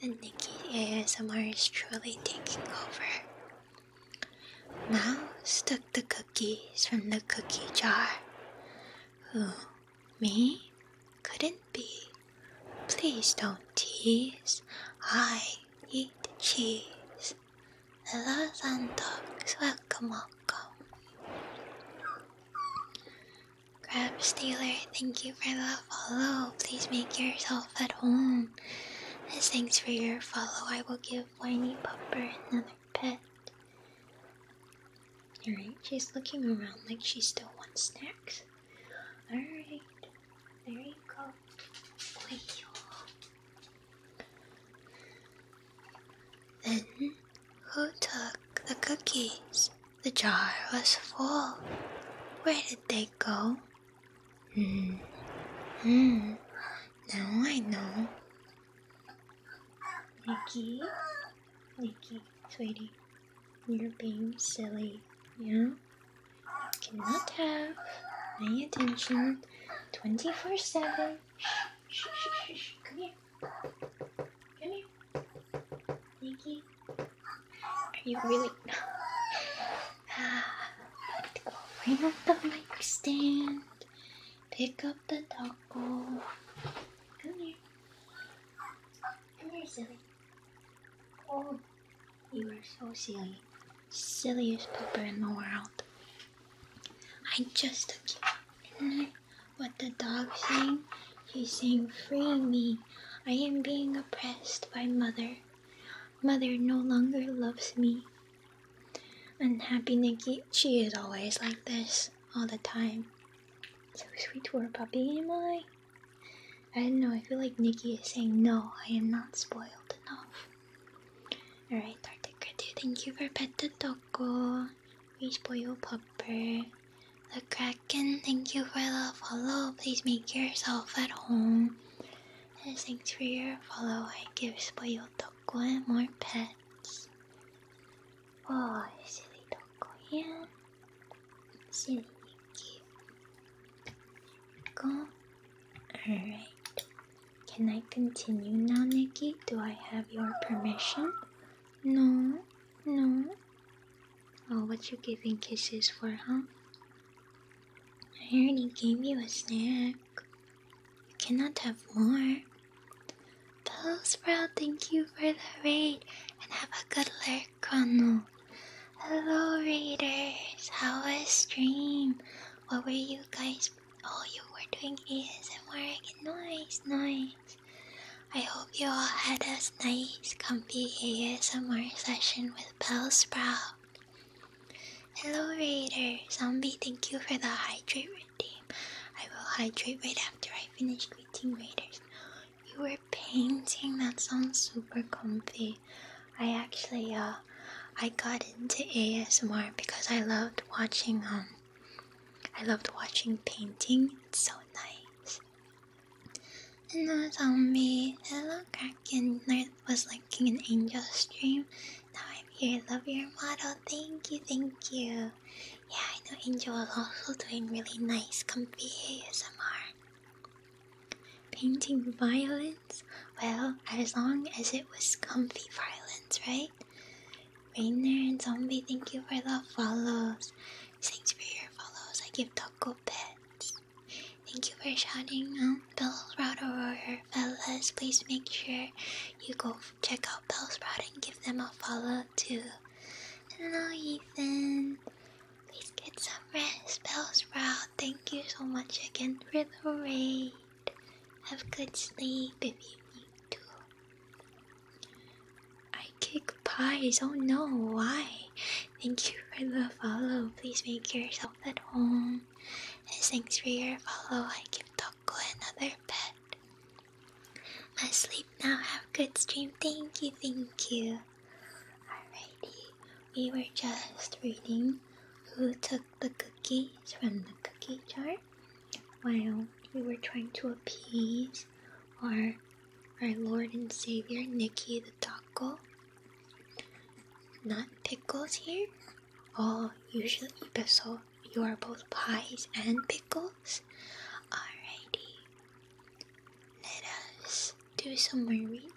The Nikki ASMR is truly taking over. Mouse took the cookies from the cookie jar. Who? Me? Couldn't be. Please don't tease. I eat cheese. Hello, Sandox. Welcome, welcome. Crab Stealer, thank you for the follow. Please make yourself at home. As thanks for your follow, I will give Whiny Pupper another pet. Alright, she's looking around like she still wants snacks. Alright, there you go. Then, who took the cookies? The jar was full. Where did they go? Hmm. Hmm. Now I know. Nikki, Nikki, sweetie, you're being silly, you know? You cannot have my attention 24 7. Come here. Come here. Nikki. Are you really. Bring up the mic stand. Pick up the taco. Come here. Come here, silly. Oh, you are so silly. Silliest pooper in the world. I just Isn't what the dog's saying. He's saying, Free me. I am being oppressed by mother. Mother no longer loves me. Unhappy Nikki, she is always like this all the time. So sweet to her puppy, am I? I don't know, I feel like Nikki is saying, no, I am not spoiled enough. Alright, Tartakratu, thank you for Pet the Toko. We spoil Pupper. The Kraken, thank you for the follow. Please make yourself at home. And thanks for your follow. I give spoil Toko and more pets. Oh, silly Toko, yeah. Go. Alright. Can I continue now, Nikki? Do I have your permission? No, no. Oh, what you giving kisses for, huh? I already gave you a snack. You cannot have more. Pillow proud. thank you for the raid, and have a good lurk, Chrono. Hello, readers. How was stream? What were you guys? All oh, you were doing is ASMR. Nice, nice. I hope you all had a nice, comfy ASMR session with Bell Sprout. Hello, reader. Zombie, thank you for the hydrate redeem. I will hydrate right after I finish greeting readers. You were painting. That sounds super comfy. I actually uh, I got into ASMR because I loved watching um, I loved watching painting. It's so nice. And the zombie hello Kraken was liking an angel stream. Now I'm here. Love your model. Thank you, thank you. Yeah, I know Angel is also doing really nice comfy ASMR. Painting violence? Well, as long as it was comfy violence, right? Rainer and Zombie, thank you for the follows. Thanks for your follows. I give taco pets. Thank you for shouting out Bell Sprout Aurora. fellows. please make sure you go check out Bell Sprout and give them a follow too. Hello, Ethan. Please get some rest, spells. Bellsprout. Thank you so much again for the raid. Have good sleep if you need to. I kick pies. Oh no, why? Thank you for the follow. Please make yourself at home. And thanks for your follow. I give Toko another pet. I sleep now. Have good dream. Thank you, thank you. Alrighty, we were just reading who took the cookies from the cookie jar while we were trying to appease our, our Lord and Savior, Nikki the Taco. Not pickles here. Oh, usually, but you are both pies and pickles. Alrighty, let us do some more reading.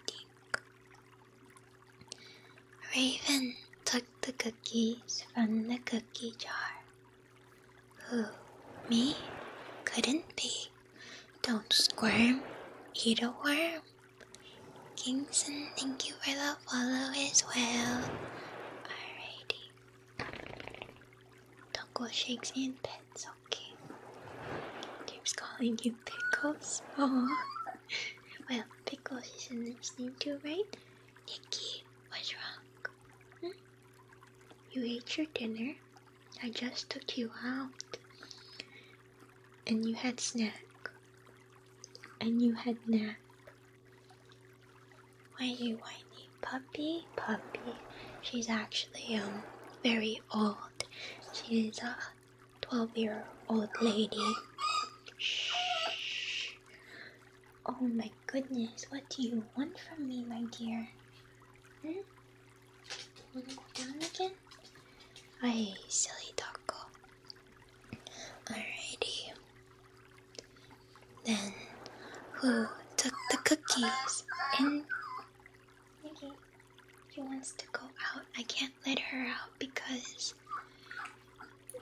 Raven took the cookies from the cookie jar. Who, me? Couldn't be. Don't squirm, eat a worm. Kingston, thank you for the follow as well. Alrighty. Don't go shakes and pets, okay? Keeps calling you you, Pickles. Aww. Well, Pickles is a nice name too, right? Nikki, what's wrong? Hmm? You ate your dinner. I just took you out. And you had snack. And you had nap. Why you whiny puppy? Puppy. She's actually um very old. She's a. Uh, 12 year old lady. Shh. Oh my goodness, what do you want from me, my dear? Hmm? Wanna go again? Aye, silly doggo. Alrighty. Then, who took the cookies? And. He wants to go out. I can't let her out because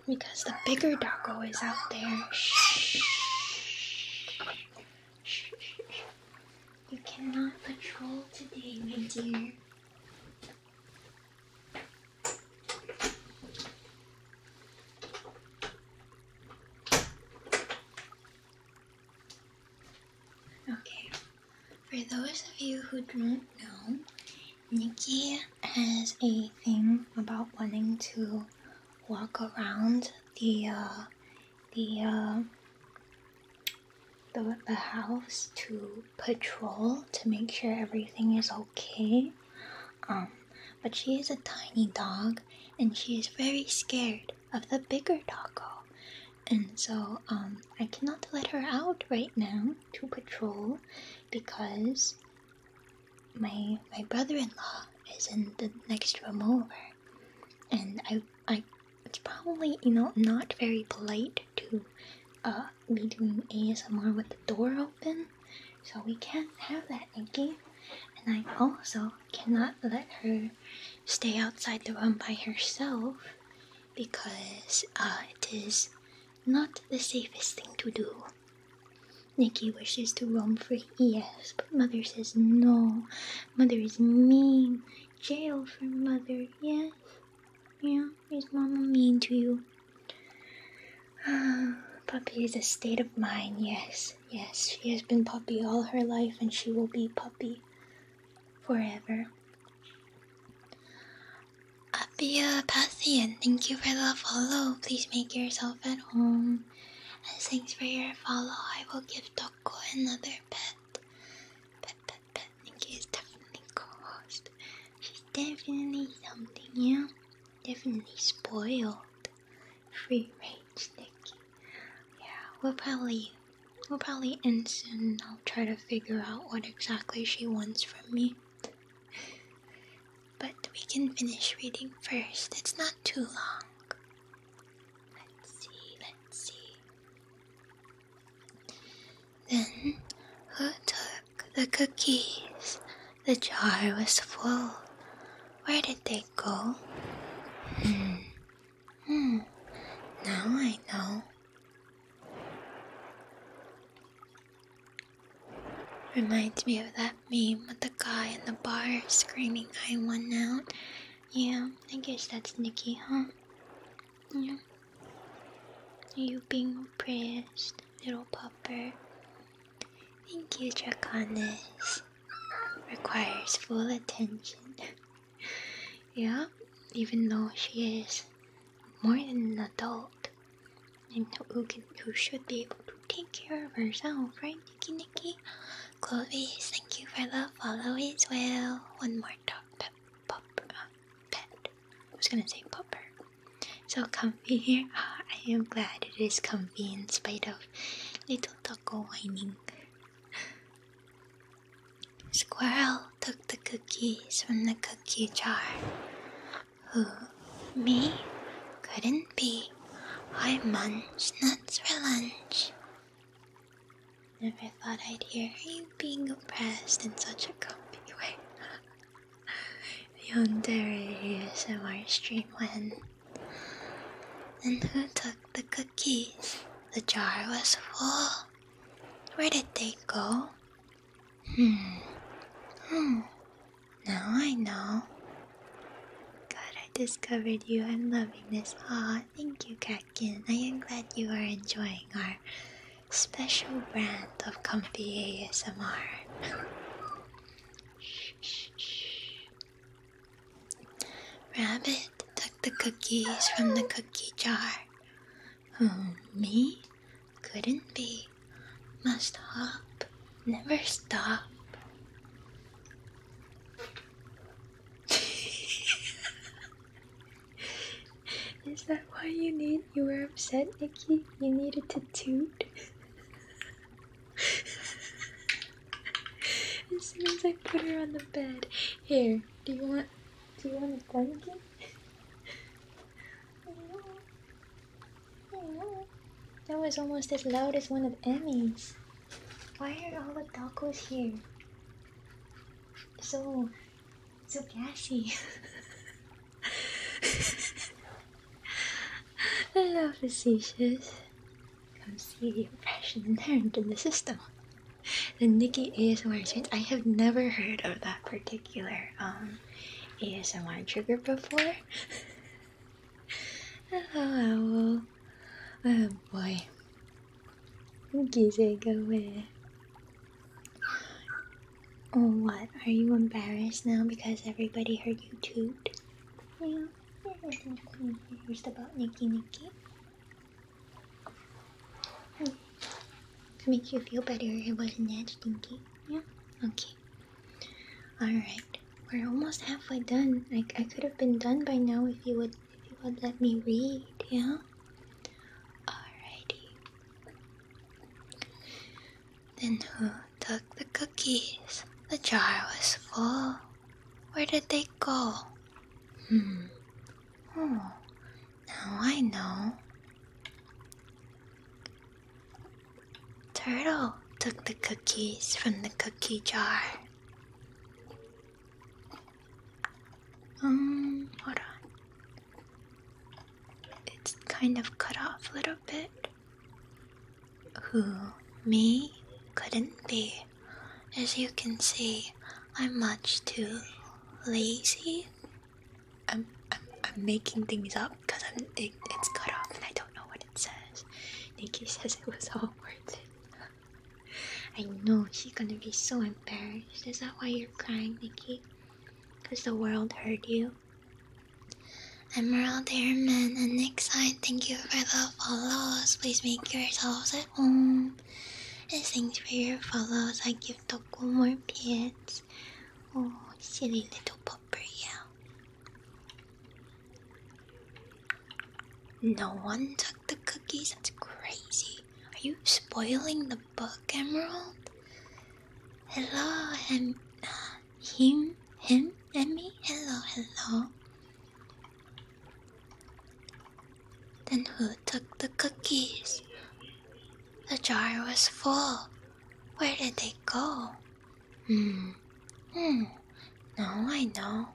because the bigger doggo is out there. Shh. You cannot patrol today, my dear. Okay, for those of you who don't know, Nikki has a thing about wanting to walk around the uh, uh, the, the house to patrol to make sure everything is okay. Um, but she is a tiny dog and she is very scared of the bigger doggo and so um, I cannot let her out right now to patrol because my my brother-in-law is in the next room over, and I I it's probably you know not very polite to be uh, doing ASMR with the door open, so we can't have that, Nikki. And I also cannot let her stay outside the room by herself because uh, it is not the safest thing to do. Nikki wishes to roam free, yes, but mother says no. Mother is mean. Jail for mother, yes. Yeah, is mama mean to you? Ah, puppy is a state of mind, yes, yes. She has been puppy all her life and she will be puppy forever. Abia uh, will Thank you for the follow. Please make yourself at home. And thanks for your follow. I will give Toko another pet. Pet, pet, pet. Nikki is definitely cost. She's definitely something, yeah? Definitely spoiled. Free range, Nikki. Yeah, we'll probably We'll probably end soon. I'll try to figure out what exactly she wants from me. But we can finish reading first. It's not too long. Let's see, let's see. Then, who took the cookies? The jar was full. Where did they go? Hmm. Hmm. Now I know. Reminds me of that meme with the guy in the bar screaming, I won out. Yeah, I guess that's Nikki, huh? Yeah. You being pressed, little pupper. Thank you, Draconis. Requires full attention yeah, even though she is more than an adult and who can should be able to take care of herself, right, Nikki Nikki? Chloe, thank you for the follow as well. One more dog uh, pet I was gonna say popper. So comfy here. I am glad it is comfy in spite of little taco whining. Squirrel took the cookies from the cookie jar. Who, me? Couldn't be. I munch nuts for lunch. Never thought I'd hear you being oppressed in such a comfy way. the Ontario ASMR stream went. And who took the cookies? The jar was full. Where did they go? Hmm. now I know. God, I discovered you. I'm loving this. Aw, thank you, Catkin. I am glad you are enjoying our special brand of comfy ASMR. Rabbit took the cookies from the cookie jar. Oh, me? Couldn't be. Must hop, never stop. Is that why you need you were upset, Nikki? You needed to toot? as soon as I put her on the bed. Here, do you want do you want a blanket? That was almost as loud as one of Emmy's. Why are all the tacos here? So, so gassy. Hello, facetious. Come see the oppression inherent in the system the Nikki ASMR challenge. I have never heard of that particular um, ASMR trigger before. oh, oh boy. Gizzy, go away. Oh, what? Are you embarrassed now because everybody heard you toot? Yeah, everything's confused about Nikki Nikki. Oh. To make you feel better, it wasn't that stinky. Yeah? Okay. Alright. We're almost halfway done. I, I could have been done by now if you would if you would let me read, yeah? Alrighty. Then who took the cookies? The jar was full. Where did they go? Hmm. Oh, now I know. Turtle took the cookies from the cookie jar. Um, hold on. It's kind of cut off a little bit. Who me couldn't be. As you can see, I'm much too lazy I'm I'm making things up because I'm it's cut off and I don't know what it says. Nikki says it was all worth it. I know she's gonna be so embarrassed. Is that why you're crying, Nikki? Because the world heard you. Emerald Airman and next Side, thank you for the follows. Please make yourselves at home. And thanks for your follows. I give Toko more pits. Oh, silly little popper, yeah. No one took the cookies? That's crazy. Are you spoiling the book, Emerald? Hello, em him, him, Emmy? Hello, hello. Then who took the cookies? The jar was full. Where did they go? Hmm. Hmm. Now I know.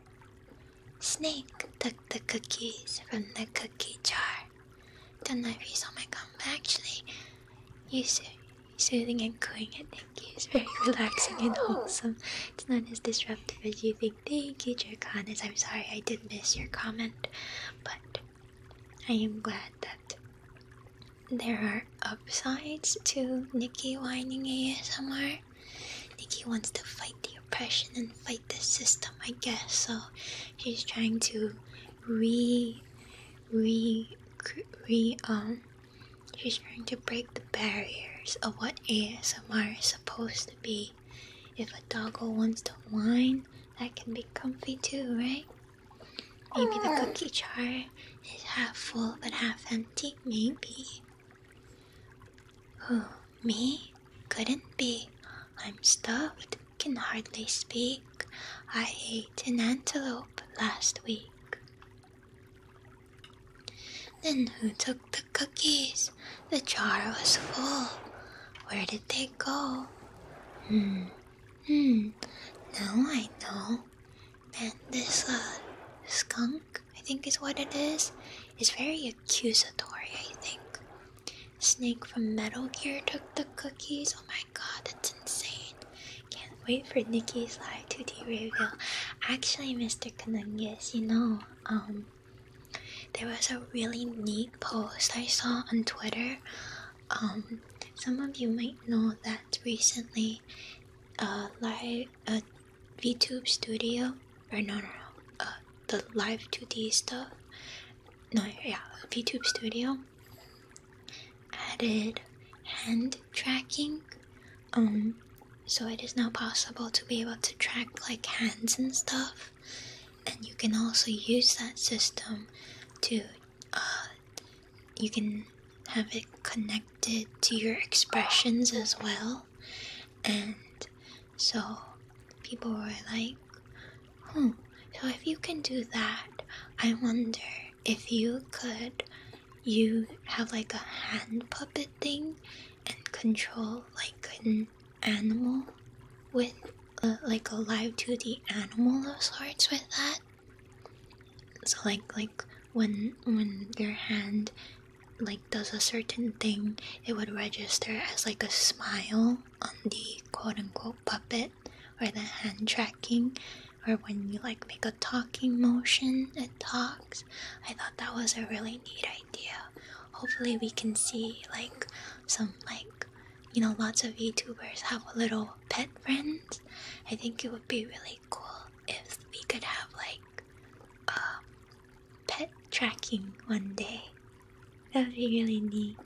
Snake took the cookies from the cookie jar. Don't know if you saw my comment. actually, you so soothing and cooing I think is very relaxing and wholesome. It's not as disruptive as you think. Thank you, As I'm sorry I did miss your comment, but I am glad that there are upsides to Nikki whining ASMR. Nikki wants to fight the oppression and fight the system, I guess. So she's trying to re, re, re, um, she's trying to break the barriers of what ASMR is supposed to be. If a doggo wants to whine, that can be comfy too, right? Maybe the cookie jar is half full but half empty, maybe. Who, me? Couldn't be. I'm stuffed, can hardly speak. I ate an antelope last week. Then who took the cookies? The jar was full. Where did they go? Hmm, Hmm, now I know that this uh, skunk, I think is what it is, is very accusatory, I think. Snake from Metal Gear took the cookies. Oh my god, that's insane. Can't wait for Nikki's live 2D reveal. Actually, Mr. Kanungis, you know, um, there was a really neat post I saw on Twitter um, some of you might know that recently uh, live uh, VTube Studio or no no no uh, the live 2D stuff no yeah VTube Studio added hand tracking um so it is now possible to be able to track like hands and stuff and you can also use that system to uh, you can have it connected to your expressions as well and so people were like hmm so if you can do that i wonder if you could you have like a hand puppet thing and control like an animal with like a live 2D animal of sorts with that. So like like when when your hand like does a certain thing, it would register as like a smile on the quote unquote puppet or the hand tracking or when you like make a talking motion it talks i thought that was a really neat idea hopefully we can see like some like you know, lots of YouTubers have a little pet friends. I think it would be really cool if we could have like uh, pet tracking one day. That would be really neat.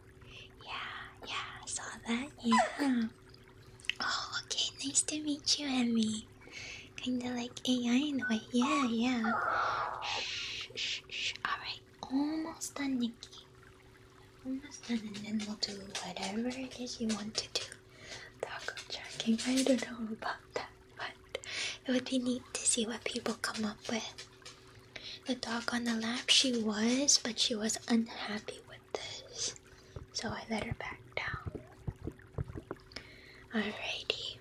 Yeah, yeah, I saw that. Yeah. Oh, okay. Nice to meet you, Emmy. Kinda like AI in the way. Yeah, yeah. Shh, shh, Alright, almost done, Nikki understand and then we'll do whatever it is you want to do. Taco tracking, I don't know about that, but it would be neat to see what people come up with. The dog on the lap, she was, but she was unhappy with this, so I let her back down. Alrighty.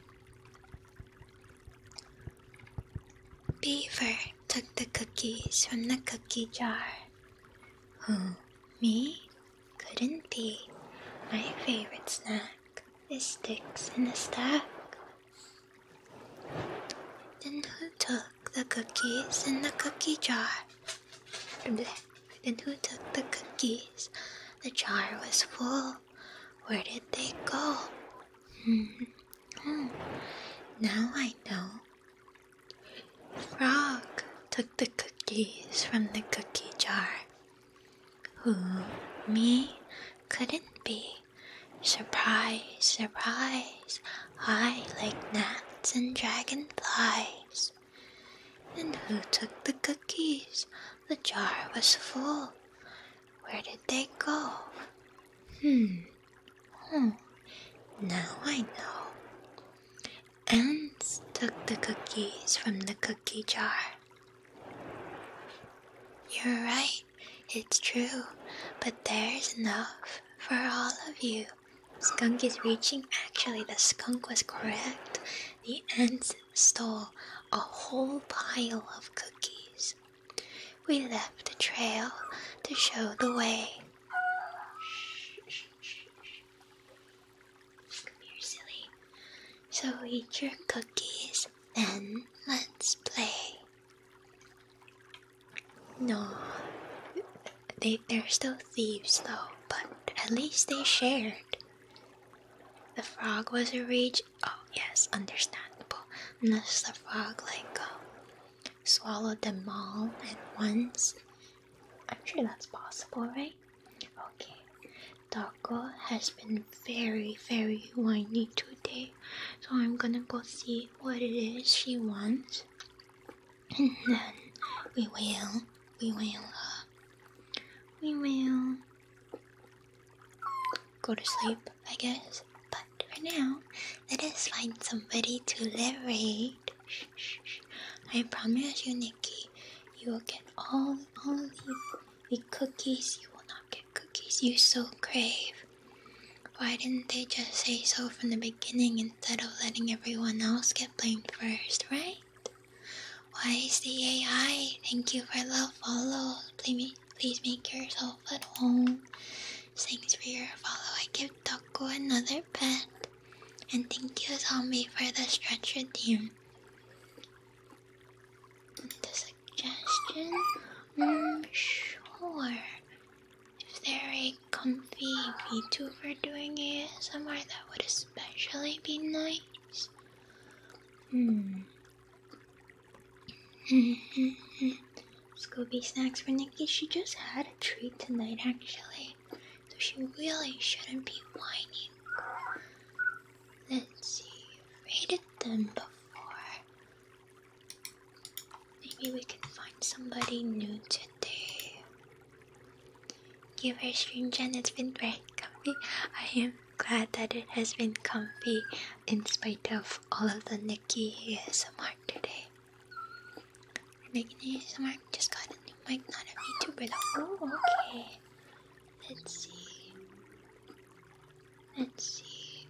Beaver took the cookies from the cookie jar. Who, me? Couldn't be. My favorite snack is sticks in a stack. Then who took the cookies in the cookie jar? Then who took the cookies? The jar was full. Where did they go? Hmm. Oh, now I know. Frog took the cookies from the cookie jar. Who me couldn't be. Surprise, surprise, I like gnats and dragonflies. And who took the cookies? The jar was full. Where did they go? Hmm, Hmm. now I know. Ants took the cookies from the cookie jar. You're right, it's true, but there's enough for all of you. Skunk is reaching. Actually, the skunk was correct. The ants stole a whole pile of cookies. We left a trail to show the way. Come here, silly. So eat your cookies, and let's play. No, they, they're still thieves though, but at least they shared. The frog was a rage. Oh, yes, understandable. Unless the frog, like, uh, swallow them all at once? I'm sure that's possible, right? Okay. Darko has been very, very whiny today, so I'm gonna go see what it is she wants, and then we will, we will, uh, we will go to sleep, I guess. But for now, let us find somebody to liberate. I promise you, Nikki, you will get all all the cookies. You will not get cookies you so crave. Why didn't they just say so from the beginning instead of letting everyone else get blamed first, right? Why is the AI? Thank you for love. Follow. please make yourself at home. Thanks for your follow. I give Taco another pet. And thank you, Zombie, for the stretcher team. The suggestion? Mm, sure. If they're a comfy for doing it somewhere, that would especially be nice. Hmm. Scooby snacks for Nikki. She just had a treat tonight, actually. So she really shouldn't be whining. Let's see. Rated them before. Maybe we can find somebody new today. Give her stream, Jen. It's been very comfy. I am glad that it has been comfy in spite of all of the Nikki ASMR today. We're making ASMR. Just got a new mic, not a VTuber though. Oh, okay. Let's see. Let's see.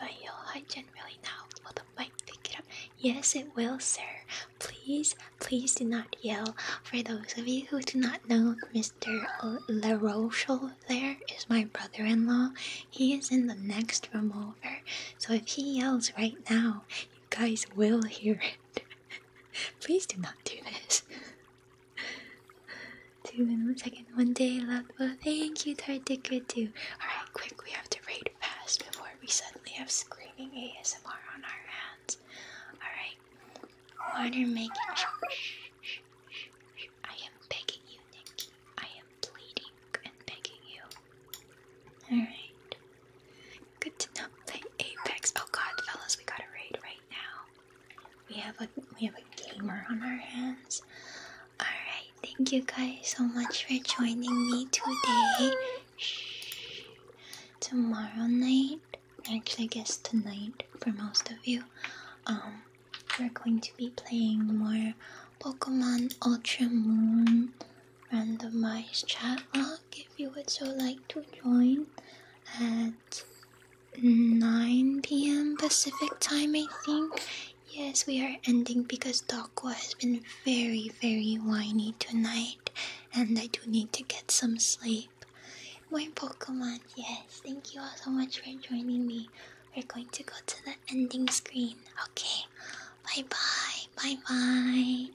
I Vio Hajin really now. Will the mic pick it up? Yes, it will, sir. Please, please do not yell. For those of you who do not know Mr. Larochelle there is my brother in law. He is in the next room over. So if he yells right now, you guys will hear it. Please do not do this. Two and one second, one day, love. Well, thank you, Tardica, too. Alright, quick, we have to raid fast before we suddenly have screaming ASMR on our hands. Alright. Water making. I am begging you, Nikki. I am pleading and begging you. Alright. Good to know. Play Apex. Oh god, fellas, we got a raid right now. We have a we have a gamer on our hands. Alright, thank you guys so much for joining me today. Tomorrow night. Actually I guess tonight for most of you. Um we're going to be playing more Pokemon Ultra Moon randomized chat log. if you would so like to join at 9 p.m. Pacific time, I think. Yes, we are ending because Doko has been very, very whiny tonight, and I do need to get some sleep. More Pokemon, yes. Thank you all so much for joining me. We're going to go to the ending screen. Okay, bye bye, bye bye.